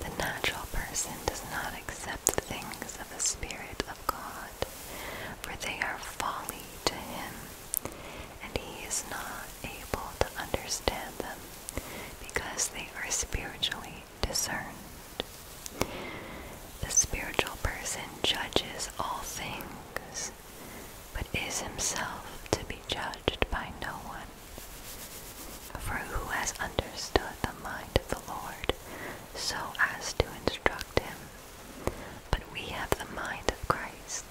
B: The natural person does not accept the things of the Spirit of God, for they are folly to him, and he is not able to understand them, because they are spiritually discerned. The spiritual person judges all things, but is himself to be judged by no one. For who has understood the mind of the Lord so as to instruct him? But we have the mind of Christ.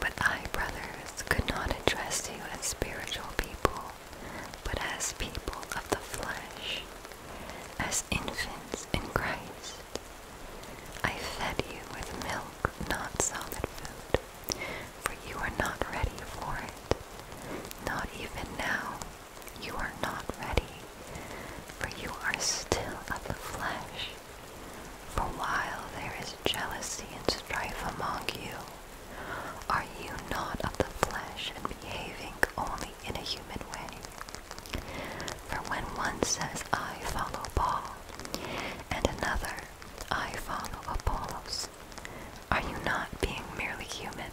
B: But I, brothers, could not address you as spiritual people, but as people of the flesh, as infants in Christ. I fed you with milk, not solid food, for you are not ready for it. Not even now, you are not ready, for you are still of the flesh. For while there is jealousy and strife among you, are you not of the flesh and behaving only in a human way? For when one says, I follow Paul, and another, I follow Apollos. Are you not being merely human?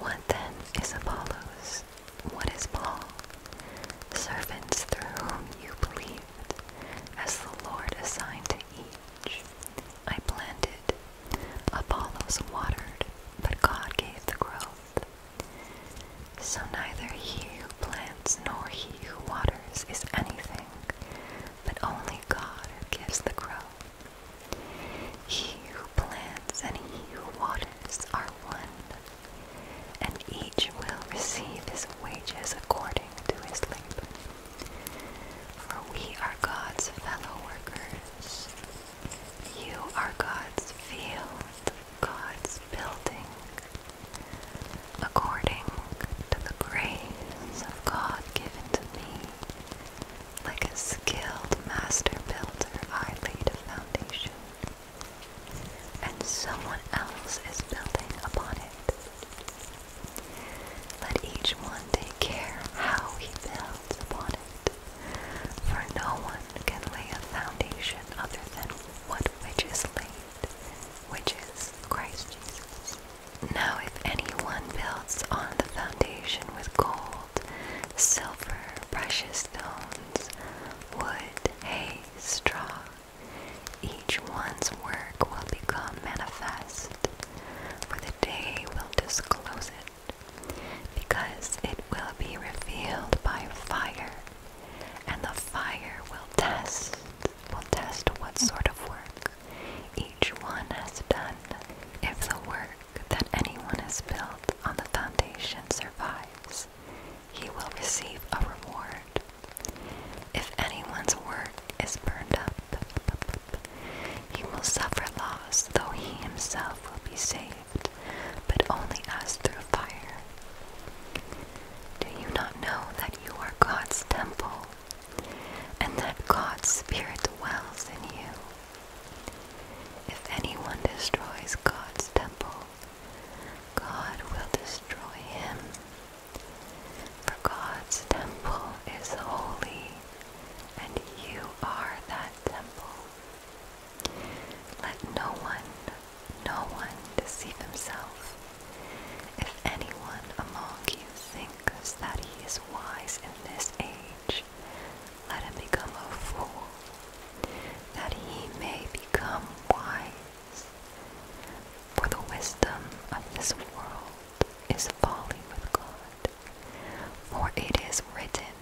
B: What then is Apollos? What is Paul? Servants through whom you believed, as the Lord assigned to each. I planted, Apollos watered, but God gave the growth. So neither he who plants nor he who waters is anything, but only God who gives the growth. He who plants and he who waters are one, and each will receive his wages according to his labor. For we are God's fellow workers. You are God's field, God's building, according to the grace of God given to me. Like a skilled master builder, I laid a foundation, and someone else is building upon it. Let each one take care how he builds upon it, for no one can lay a foundation other than what which is laid which is Christ Jesus. Now, if anyone builds on the foundation with gold, silver, precious stones, wood, hay, straw, each one's work will become manifest, for the day will disclose it, because it will be revealed by fire, and the fire will test will test what sort of work each one has done. If the work that anyone has built on the foundation survives, he will receive a reward. If anyone's work is burned up, he will suffer loss, though he himself will be saved, but only as through fire. Do you not know that you are God's temple and that God's Spirit dwells in you? If anyone destroys God's temple, God will destroy him. For God's temple is holy, and you are that temple. Let no one no one deceive himself. If anyone among you thinks that he is wise in this age, let him become a fool, that he may become wise. For the wisdom of this world is folly with God, for it is written,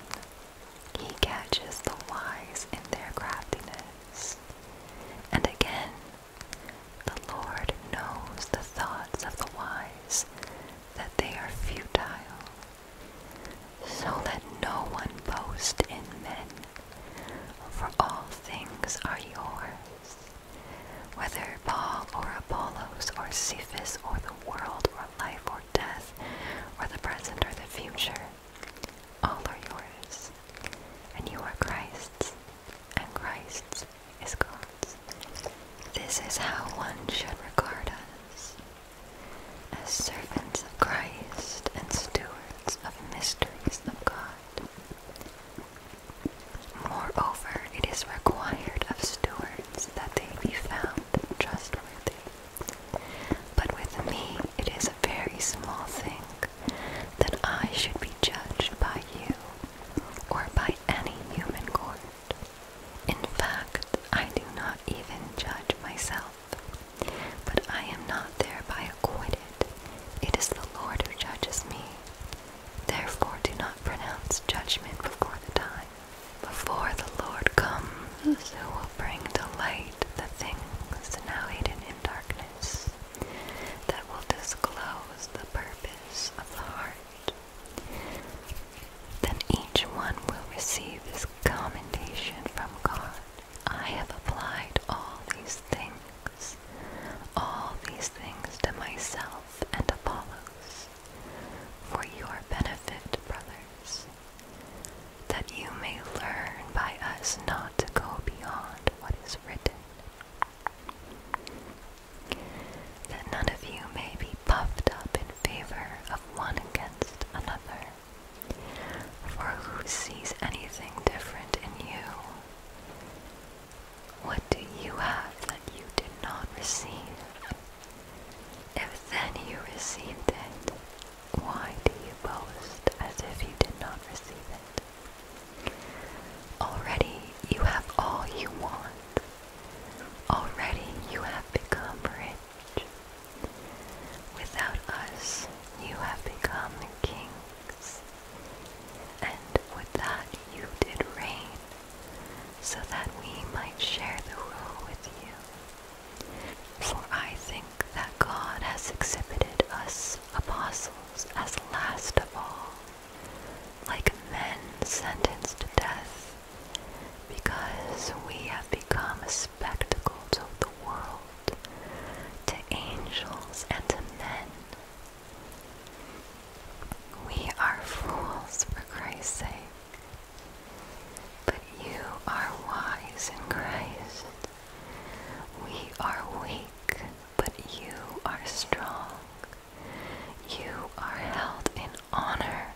B: He catches the wise in their craftiness. And again, the Lord knows the thoughts of the wise, that they are futile. So let no one boast in men, for all things are yours. Whether Paul or Apollos or Cephas or the world or life or death or the present or the future, all are yours, and you are Christ's, and Christ is God. This is how one should regard us as servants of Christ and stewards of mysteries of God. Moreover, it is required of stewards that they be found trustworthy. But with me, it is a very small thing that I should be judged by you or by any human court. In fact, I do not even judge myself, but I am not thereby acquitted. It is the Lord who judges me. Therefore, do not pronounce judgment before the time. Before the Lord comes, who will bring to light the things now hidden in darkness, that will disclose the purpose of the heart. Then each one will receive his commendation from God. I have applied all these things, all these things to myself and Apollos, for your benefit, brothers, that you may learn by us not to go beyond what is written, that none of you may be puffed up in favor of one against another. For who sees anything different in you? What do you have that you did not receive? If then you received it, why do you boast as if you did not receive it? Already you have all you want. Already you have become rich. Without us, you have become kings. And with that, you did reign, so that we might share the rule with you. For I think that God has exhibited us apostles as last of all, like men sentenced to death, because we have become a spectacle to the world, to angels and to men. We are fools for Christ's sake, but you are wise in Christ. We are weak but you are strong. You are held in honor,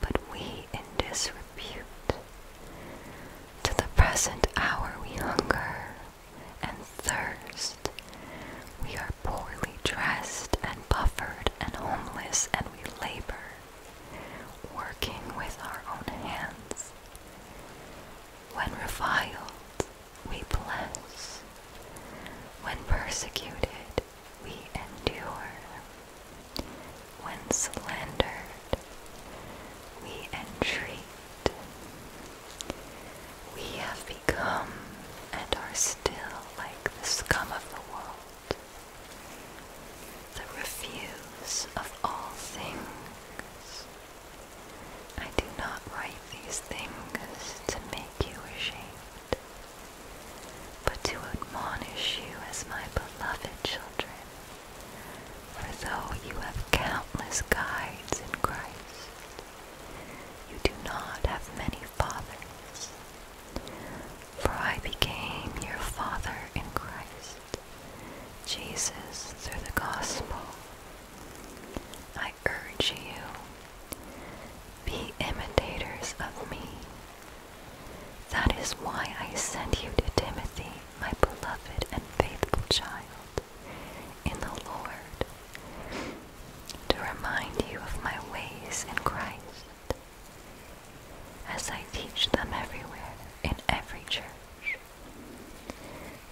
B: but we in disrepute. To the present hour we hunger and thirst. We are poorly dressed and buffered and homeless, and we labor, working with our own hands. When reviled, we bless. When persecuted, we endure. When slandered, we entreat. We have become and are still like the scum of the world, the refuse of all things. I do not write these things to make you ashamed, but to admonish you as my beloved children. For though you have countless guides in Christ, you do not have many fathers. For I became your father in Christ, Jesus, through the gospel. I urge you, be imitators of me. That is why I sent you to Timothy, my beloved and faithful child, in the Lord, to remind you of my ways in Christ, as I teach them everywhere in every church.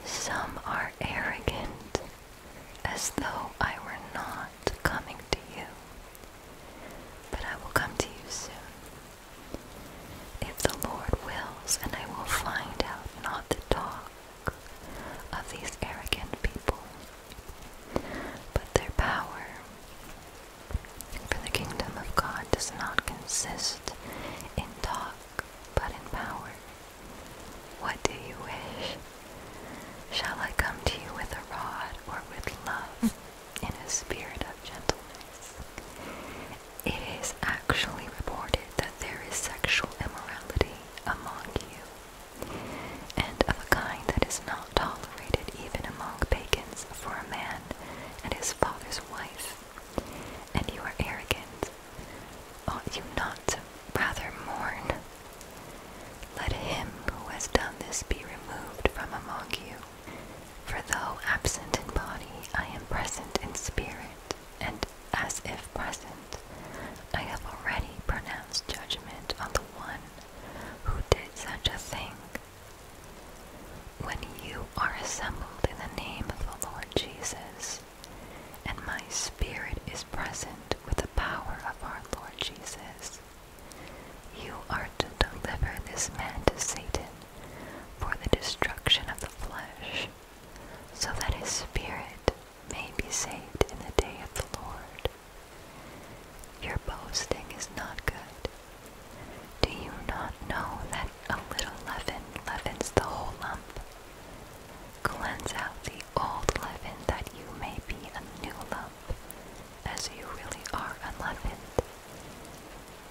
B: Some are arrogant as though I were not coming to you, but I will come to you soon. If the Lord wills, and I will find out not the talk of these arrogant people, but their power. For the kingdom of God does not consist in talk, but in power. What do you wish? Shall I come to you with a rod or with love in a spirit of gentleness? It is actually reported that there is sexual immorality among you, and of a kind that is not tolerated even among pagans for a man and his father's wife. And you are arrogant Ought you not rather mourn? Let him who has done this be removed from among you. For though absent in body, I am present in spirit, and as if present, I have already pronounced judgment on the one who did such a thing. When you are assembled in the name of the Lord Jesus, and my spirit is present with the power of our Lord Jesus. You are to deliver this man to Satan for the destruction of the flesh, so that his spirit may be saved in the day of the Lord. Your boasting is not good. Do you not know that a little leaven leavens the whole lump? Cleans out the old leaven that you may be a new lump, as you really are unleavened.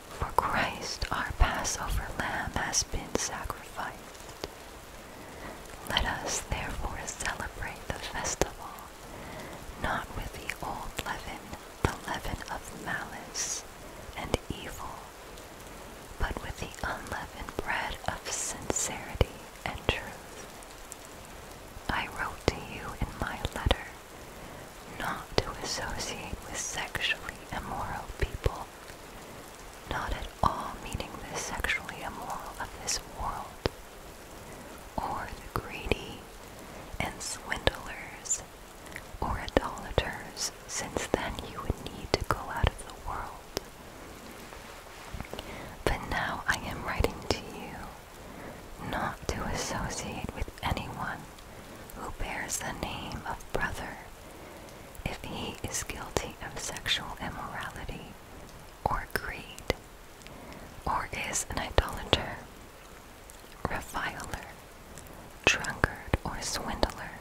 B: For Christ, our Passover lamb, has been sacrificed. Let us therefore celebrate the festival, not with the old leaven, the leaven of malice and evil, but with the unleavened bread of sincerity and truth. I wrote to you in my letter not to associate with sexually immoral people, not at all meaning the sexually immoral of this world, or the greedy and swindlers or idolaters, since then you would need to go out of the world. But now I am writing to you not to associate with anyone who bears the name of brother if he is guilty of sexual immorality or greed, or is an idolater, reviler, drunkard, or swindler,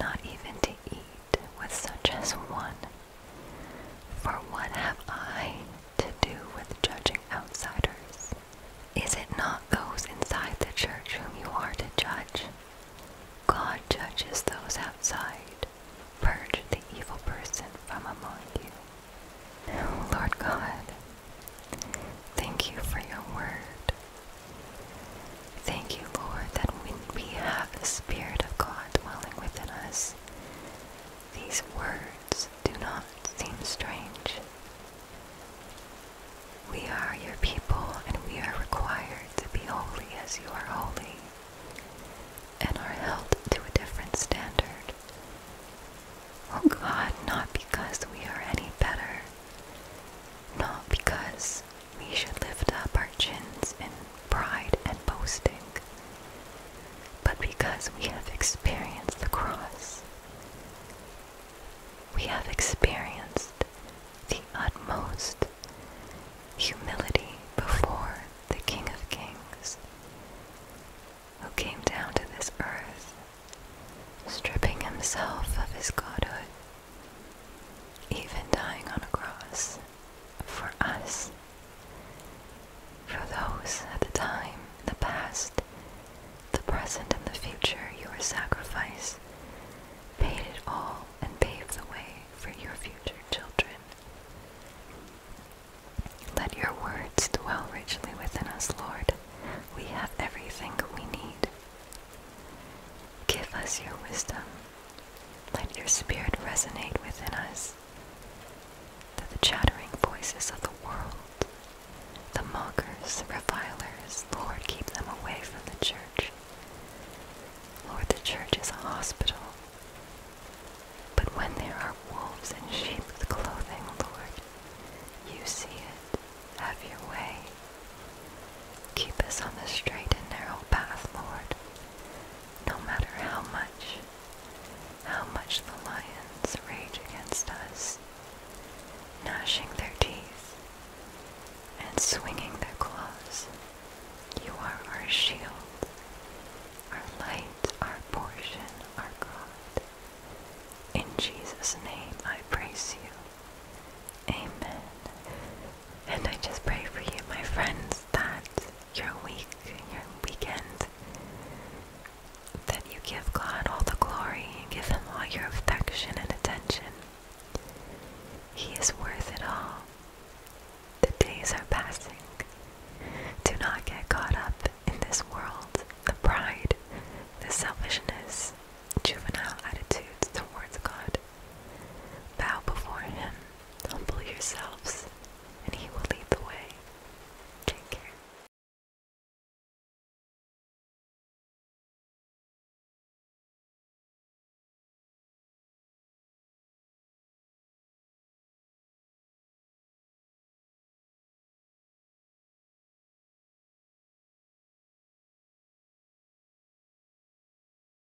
B: not even to eat with such as one. For what have I to do with judging outsiders? Is it not those inside the church whom you are to judge? God judges those outside. Purge the evil person from among you. Oh, Lord God, thank you for your word. Thank you, Lord, that when we have the Spirit of God dwelling within us, these words do not seem strange. We are your people, and we are required to be holy as you are holy, and are held to a different standard. Oh God, not because we are any better, not because we should lift up our chins in pride and boasting. But because we have experienced the cross, we have experienced the utmost humility before the King of Kings, who came down to this earth, stripping himself of his godhood even dying on a cross for us, for those at the time, the past, the present, and the future, your sacrifice paid it all and paved the way for your future children. Let your words dwell richly within us, Lord. We have everything we need. Give us your wisdom let your spirit resonate within us, that the chattering voices of the world, the mockers, the revilers, Lord, keep them away from the church. Lord, the church is a hospital. But when there are wolves in sheep's clothing, Lord, you see it. Have your way. Keep us on the straight and narrow path, Lord, no matter how much, how much the lions rage against us, gnashing their teeth and swinging their claws. You are our shield, our light, our portion, our God. In Jesus' name I praise you. Amen. And I just pray for you, my friends, that your week, your weekend, that you give God all the glory and give Him all your affection and attention. He is worth it all. The days are passing. Do not get caught up in this world, the pride, the selfishness, juvenile attitudes towards God. Bow before Him Humble yourselves, and He will lead the way. Take care.